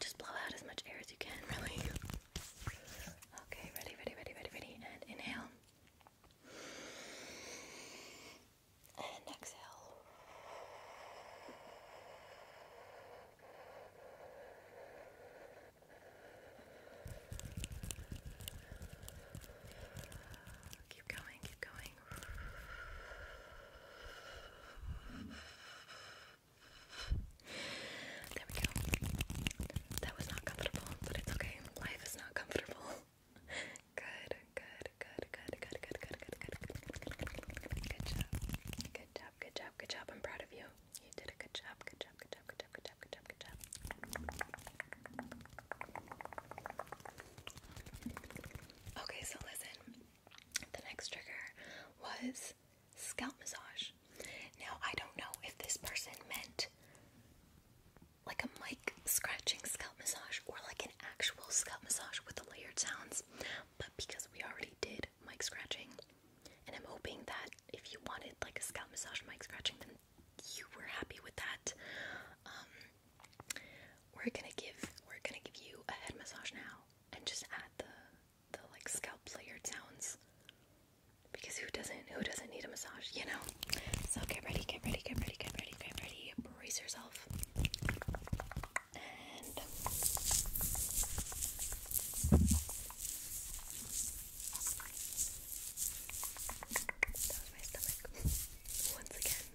just blow out as much air as you can, really. Okay, ready, ready, ready, ready, ready, and inhale. And exhale. Keep going, keep going going. There we go. That was not comfortable, but it's okay. Life is not comfortable. Good, [laughs] good, good, good, good, good, good, good, good, good. Good job. Good job, good job, good job. I'm proud of you. You did a good job. Good job, good job, good job, good job, good job, good job. Okay, so listen. The next trigger was scalp massage. Now, I don't know if this person meant like a mic scratching scalp massage or like an actual scalp massage with the layered sounds, but because we already did mic scratching, and I'm hoping that if you wanted like a scalp massage mic scratching, then you were happy with that. Um, we're gonna give we're gonna give you a head massage now and just add the the like scalp layered sounds because who doesn't who doesn't need a massage, you know? So get ready, get ready, get ready, get ready, get ready. Brace yourself. And that was my stomach [laughs] once again.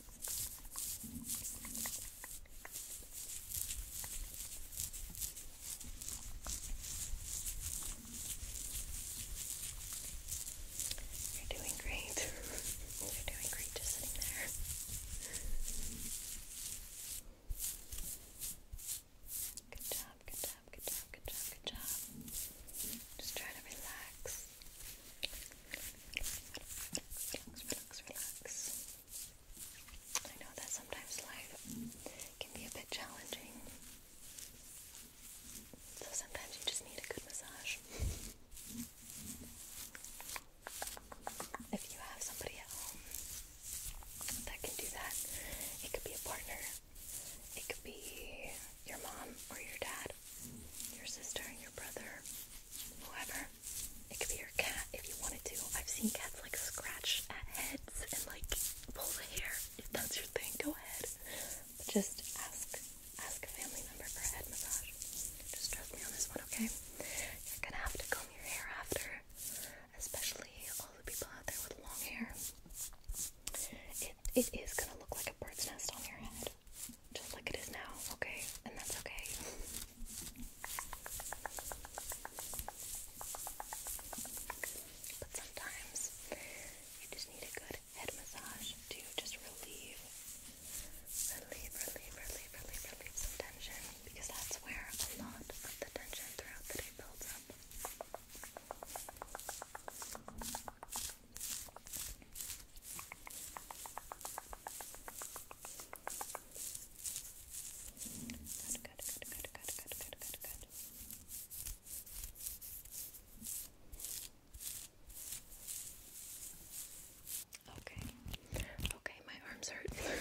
You're doing great. You're doing great just sitting there. Good job, good job, good job, good job, good job. Just try to relax. Relax, relax, relax. I know that sometimes life can be a bit challenging. So sometimes you just need a good massage. If you have somebody at home that can do that, it could be a partner, it could be your mom or your dad, your sister your brother, whoever. It could be your cat if you wanted to. I've seen cats like scratch at heads and like pull the hair. If that's your thing, go ahead. But just ask ask a family member for head massage. Just trust me on this one, okay? You're gonna have to comb your hair after, especially all the people out there with long hair. It it is gonna look like a bird's nest on your head just like it is now, okay? And that's okay. But sometimes you just need a good head massage to just relieve, relieve, relieve, relieve, relieve, some tension because that's where a lot of the tension throughout the day builds up. Good, good, good, good, good, good, good, Okay. Okay, my arms hurt. [laughs]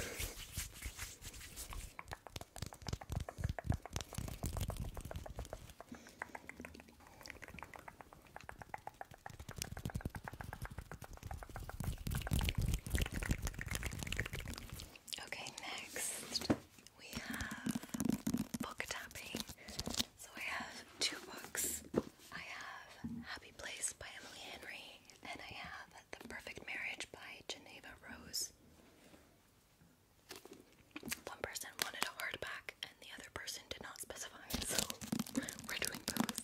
Okay, next we have book tapping. So I have two books. I have Happy Place by Emily Henry, and I have The Perfect Marriage by Geneva Rose. One person wanted a hardback, and the other person did not specify, so we're doing both.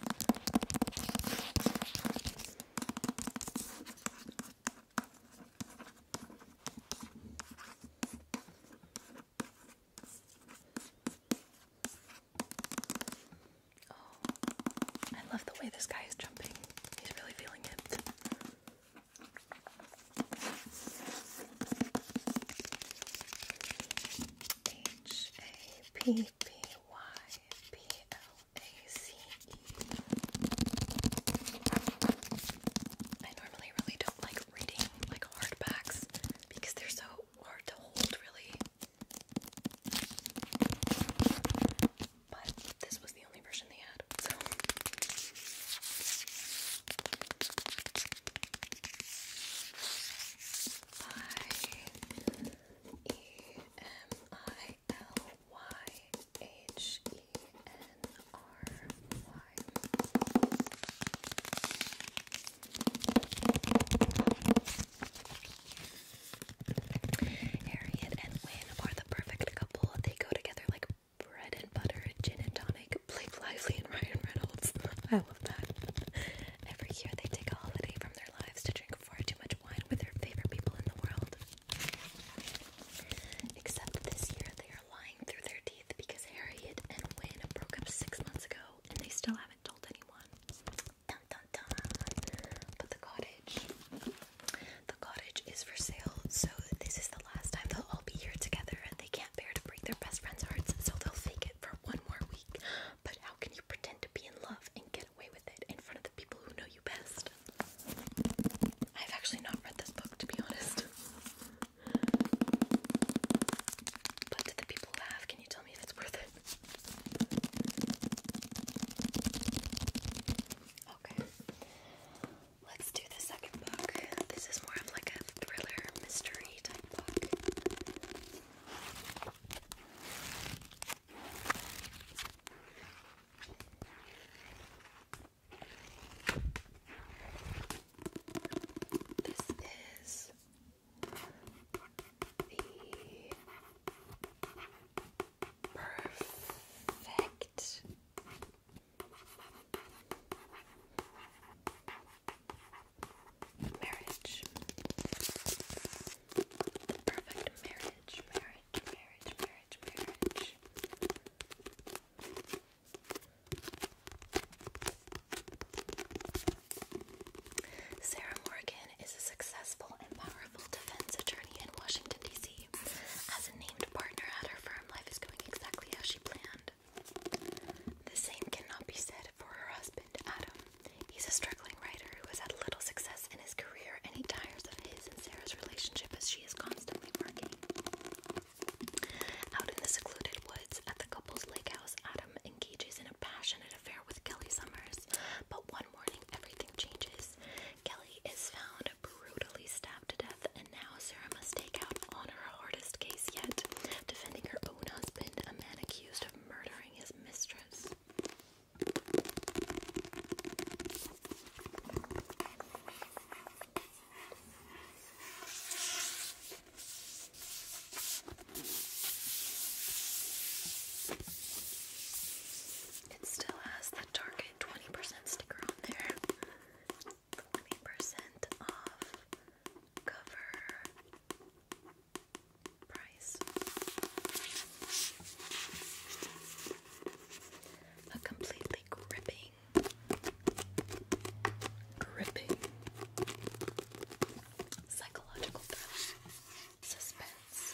Oh, I love the way this guy is jumping. He's really feeling it. H A P P Y P L A C E. I normally really don't like reading like hardbacks because they're so hard to hold, really. But this was the only version they had, so. I E M I L Y H E N R Y. Harriet and Wynne are the perfect couple. They go together like bread and butter, gin and tonic, Blake Lively and Ryan Reynolds. Oh, all of that. [laughs] Every year they take a holiday from their lives to drink far too much wine with their favorite people in the world. Except this year they are lying through their teeth because Harriet and Wynne broke up six months ago and they still haven't told anyone. Dun, dun, dun. But the cottage. The cottage is for sale, so this is the last time they'll all be here together and they can't can to break their best friends' hearts, so they'll fake it for one more week. But how can you pretend to be in love and get away with it in front of the people who know you best? I've actually not read this book, to be honest. But to the people who have, can you tell me if it's worth it? Okay. Let's do the second book. This is more of like a thriller mystery type book. This is the perfect Marriage. Sarah Morgan is a successful and powerful defense attorney in Washington, D.C. As a named partner at her firm, life is going exactly as she planned. The same cannot be said for her husband, Adam. He's a struggling writer who has had little success in his career and he tires of his and Sarah's relationship as she is constantly working. Out in the secluded woods at the couple's lake house, Adam engages in a passionate affair with Kelly Summers, but one morning everything changes. Kelly is found brutally stabbed to death, and now Sarah must take out on her hardest case yet, defending her own husband, a man accused of murdering his mistress. It still has the Target 20% sticker on there. 20% off cover a completely gripping, gripping psychological suspense.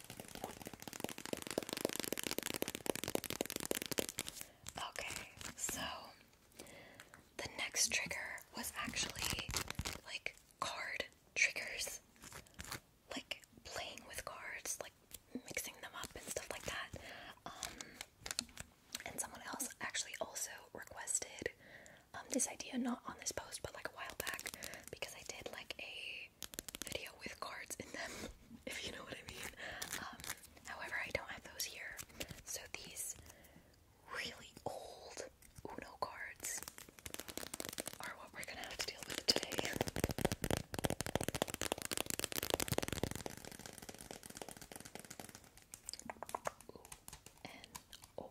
Okay, so the next trigger was actually like card triggers, like playing with cards, like mixing them up and stuff like that. Um, and someone else actually also requested um, this idea, not on this post, but like a while back, because I did like a video with cards in them, [laughs] if you know what I mean. Um, however, I don't have those here, so these really old Uno cards are what we're gonna have to deal with today. Oh,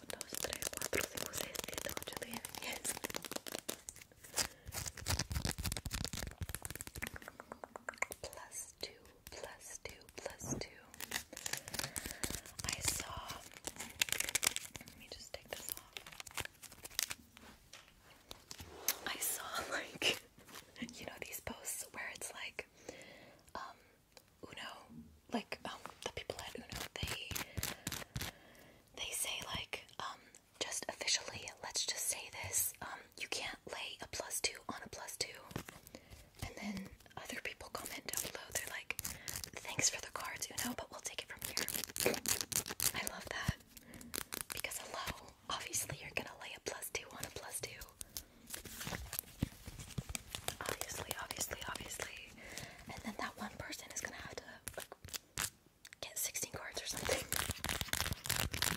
2, 2, plus 2, plus I saw... Let me just take this off I saw like, [laughs] you know these posts where it's like, um, Uno, like, um, the people at Uno, they they say like um just officially let's just say this um you can't lay a plus two on a plus two and then other people comment down below they're like thanks for the cards you know but we'll take it from here i love that because hello obviously you're gonna lay a plus two on a plus two obviously obviously obviously and then that one person is gonna have to get 16 cards or something. We got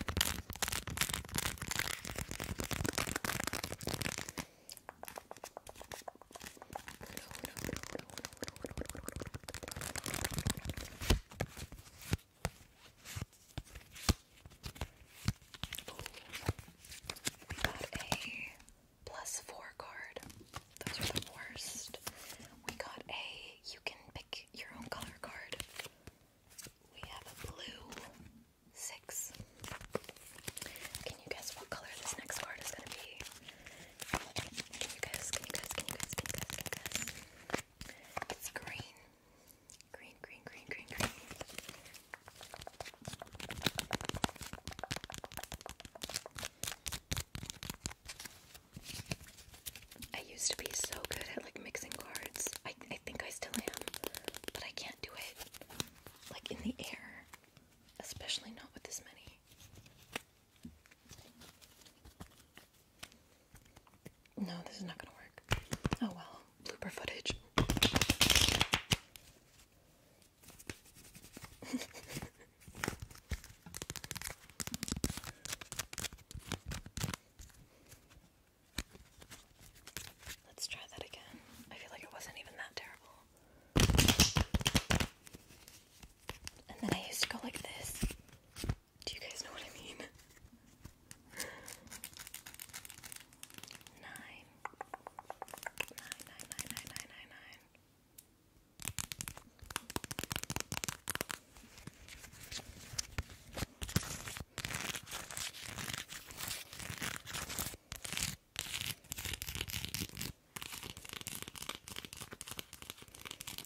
a plus four card. Those are the worst. We got a you can pick your own color card. We have a blue six. Can you guess what color this next card is gonna be? Can you guys, can you guys, can you guys, can you guys, It's green. Green, green, green, green, green. I used to be so good at like mixing cards. I, I think I still am, but I can't do it like in the air, especially not with this many. No, this is not gonna work. Oh well, blooper footage. [laughs] Let's try that again. I feel like it wasn't even that terrible. And then I used to go like this. Do you guys know what I mean? nine, nine, nine, nine.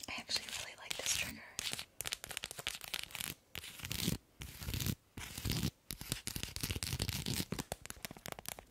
I actually really like this trigger.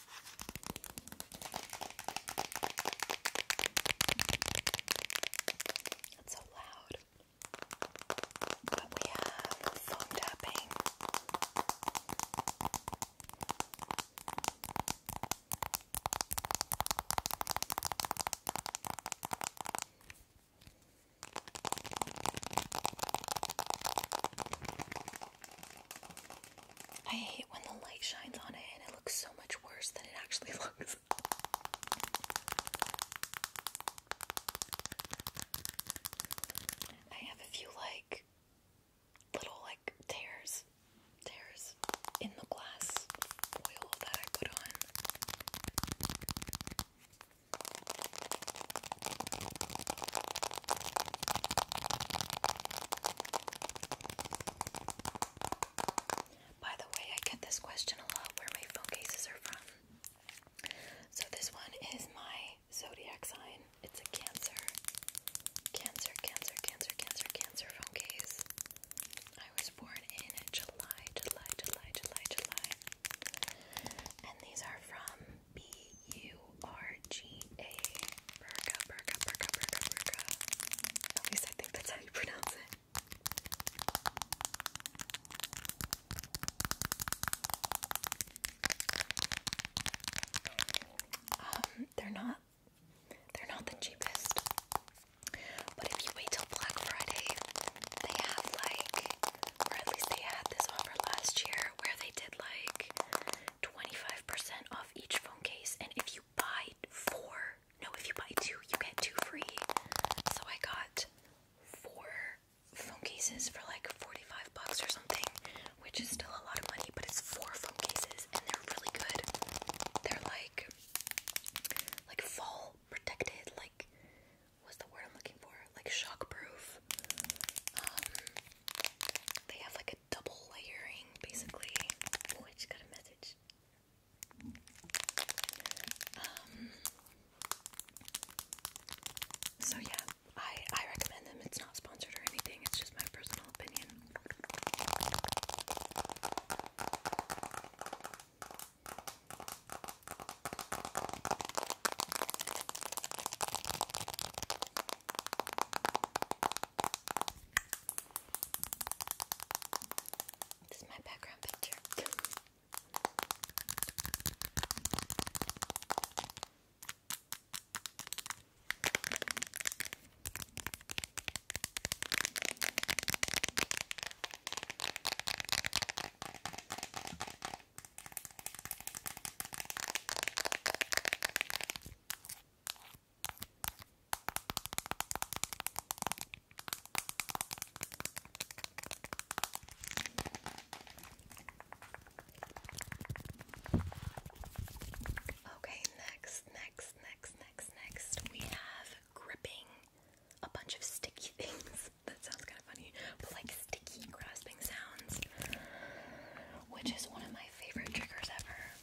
That's so loud. But we have foam tapping. I hate when the light shines on it and it looks so much worse than it actually [laughs] looks. I have a few like little like tears, tears in the glass foil that I put on. By the way, I get this question a lot where my phone cases are from. So this one is my zodiac sign. It's a cancer. Cancer, cancer, cancer, cancer, cancer phone case. I was born in July, July, July, July, July. And these are from B U R R-G-A Burga, Burga, Burga, Burga, Burga. At I think that's how you pronounce it. Um, they're not they're not the cheapest. But if you wait till Black Friday, they have like or at least they had this offer last year where they did like 25% off each phone case and if buy four, no, if you buy two, you get two free. So I got four phone cases for like 45 bucks or something, which is still a lot of money, but it's four phone cases and they're really good. They're like like fall protected, like what's the word I'm looking for? Like shockproof. Um they have like double layering basically. Oh, I just got a message. Um, so yeah, I I recommend them. It's not sponsored or anything, it's just my personal opinion. This is my background picture. Okay, next, next, next, next, next, we have gripping a bunch of sticky [laughs] things. that sounds kind of funny, but like sticky grasping sounds, which is one of my favorite triggers ever.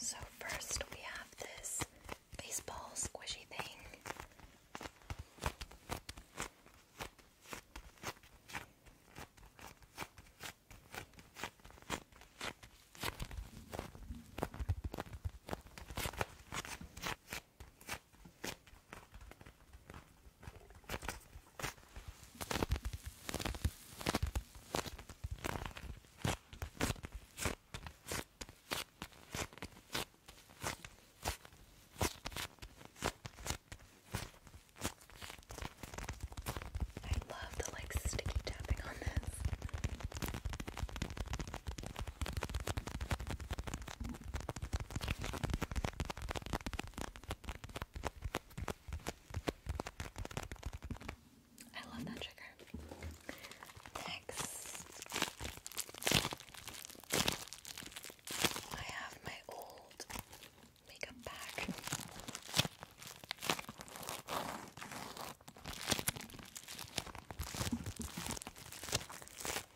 So, first we have this baseball squishy thing. I love the like sticky tapping on this. I love that trigger. Next, I have my old makeup bag.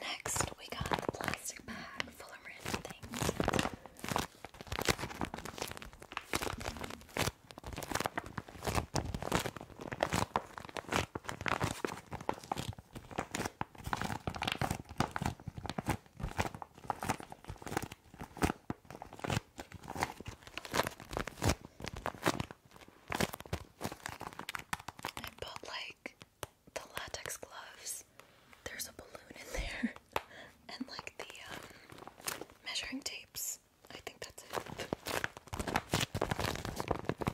Next, we got the plastic bag full of random things. I bought like the latex gloves. There's a balloon in there, [laughs] and like the um, measuring tapes. I think that's it.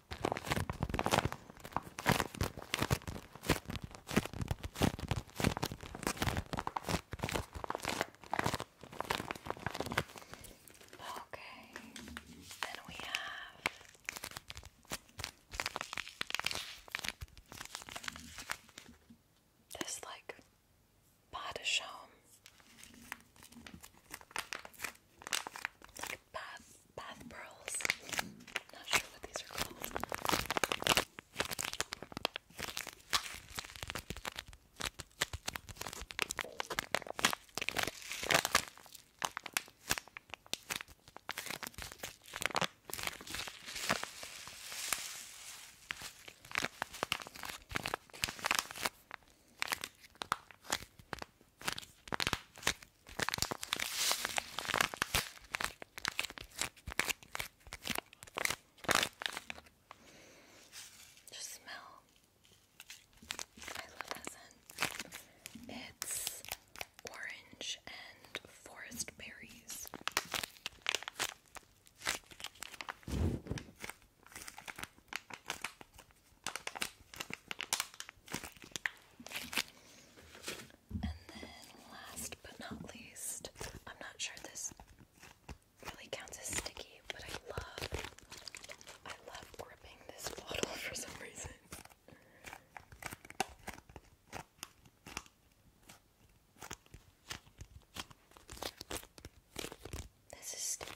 Okay, then we have this like pot Path path pearls. Not sure what these are called. Just smell. I love that scent. It's orange and forest berries. And then last but not least, I'm not sure this really counts as sticky, but I love I love gripping this bottle [laughs] for some reason. This is sticky.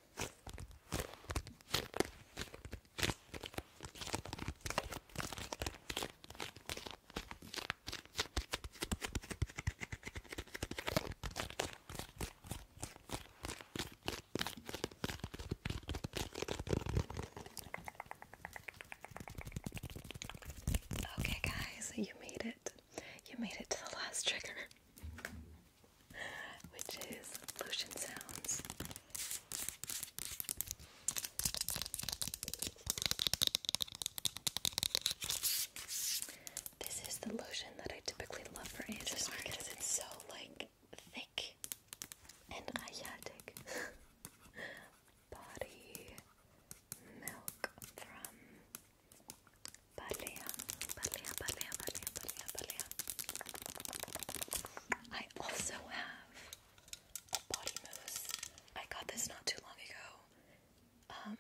Okay, guys, you made it. You made it to the last trigger. [laughs] which is lotion sounds. This is the lotion that I typically love for ASMR because it's so like thick and ayatic. [laughs] Body milk from Balea, balea, balea, balea, balea, balea. I also have a body mousse. I got this not too long ago. Um,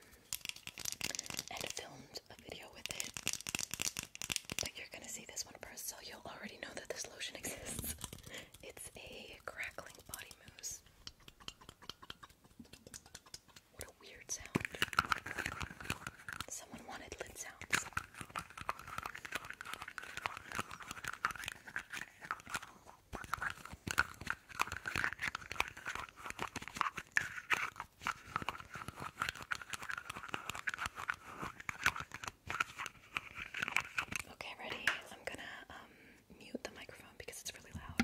and filmed a video with it. But you're gonna see this one first, so you'll already know that this lotion [laughs] exists. it's a crackling body mousse. What a weird sound. Someone wanted lid sounds. Okay, ready? I'm gonna um, mute the microphone because it's really loud.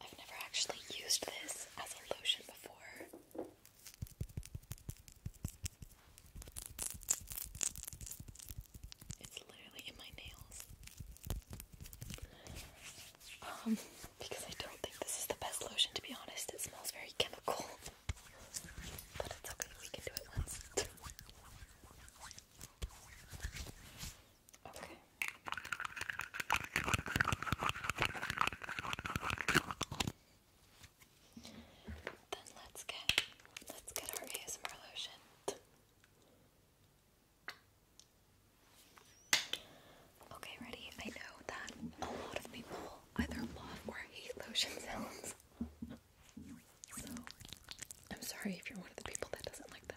I've never actually used this as a lotion before. It's literally in my nails. Um, because I don't think this is the best lotion to be honest. It smells very chemical. But it's okay, we can do it once. Okay. Then let's get let's get our ASMR lotion. Okay, ready? I know that a lot of people either love or hate lotion sounds. So, I'm sorry if you're one of the people that doesn't like them.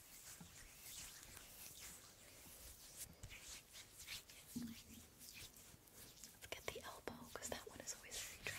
Let's get the elbow because that one is always very dry.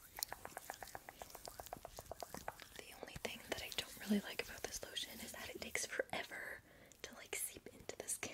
The only thing that I don't really like about this lotion is that it takes forever to like seep into the skin.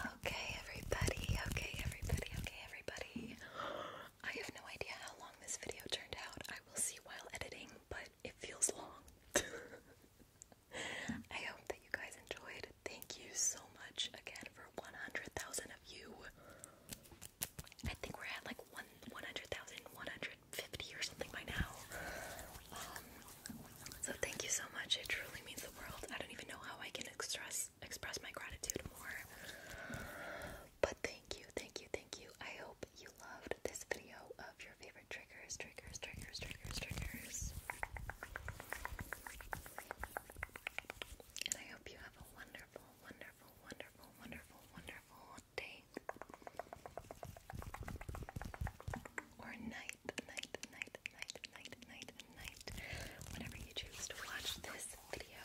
Okay, everybody. Okay, everybody. Okay, everybody. I have no idea how long this video turned out. I will see while editing, but it feels long. [laughs] I hope that you guys enjoyed. Thank you so much again for 100,000 of you. I think we're at like 100,000, 150 or something by now. Um, so thank you so much. It truly means the world. I don't even know how I can express express my gratitude more. But thank you, thank you, thank you. I hope you loved this video of your favorite triggers, triggers, triggers, triggers, triggers. And I hope you have a wonderful, wonderful, wonderful, wonderful, wonderful day. Or night, night, night, night, night, night, night. Whenever you choose to watch this video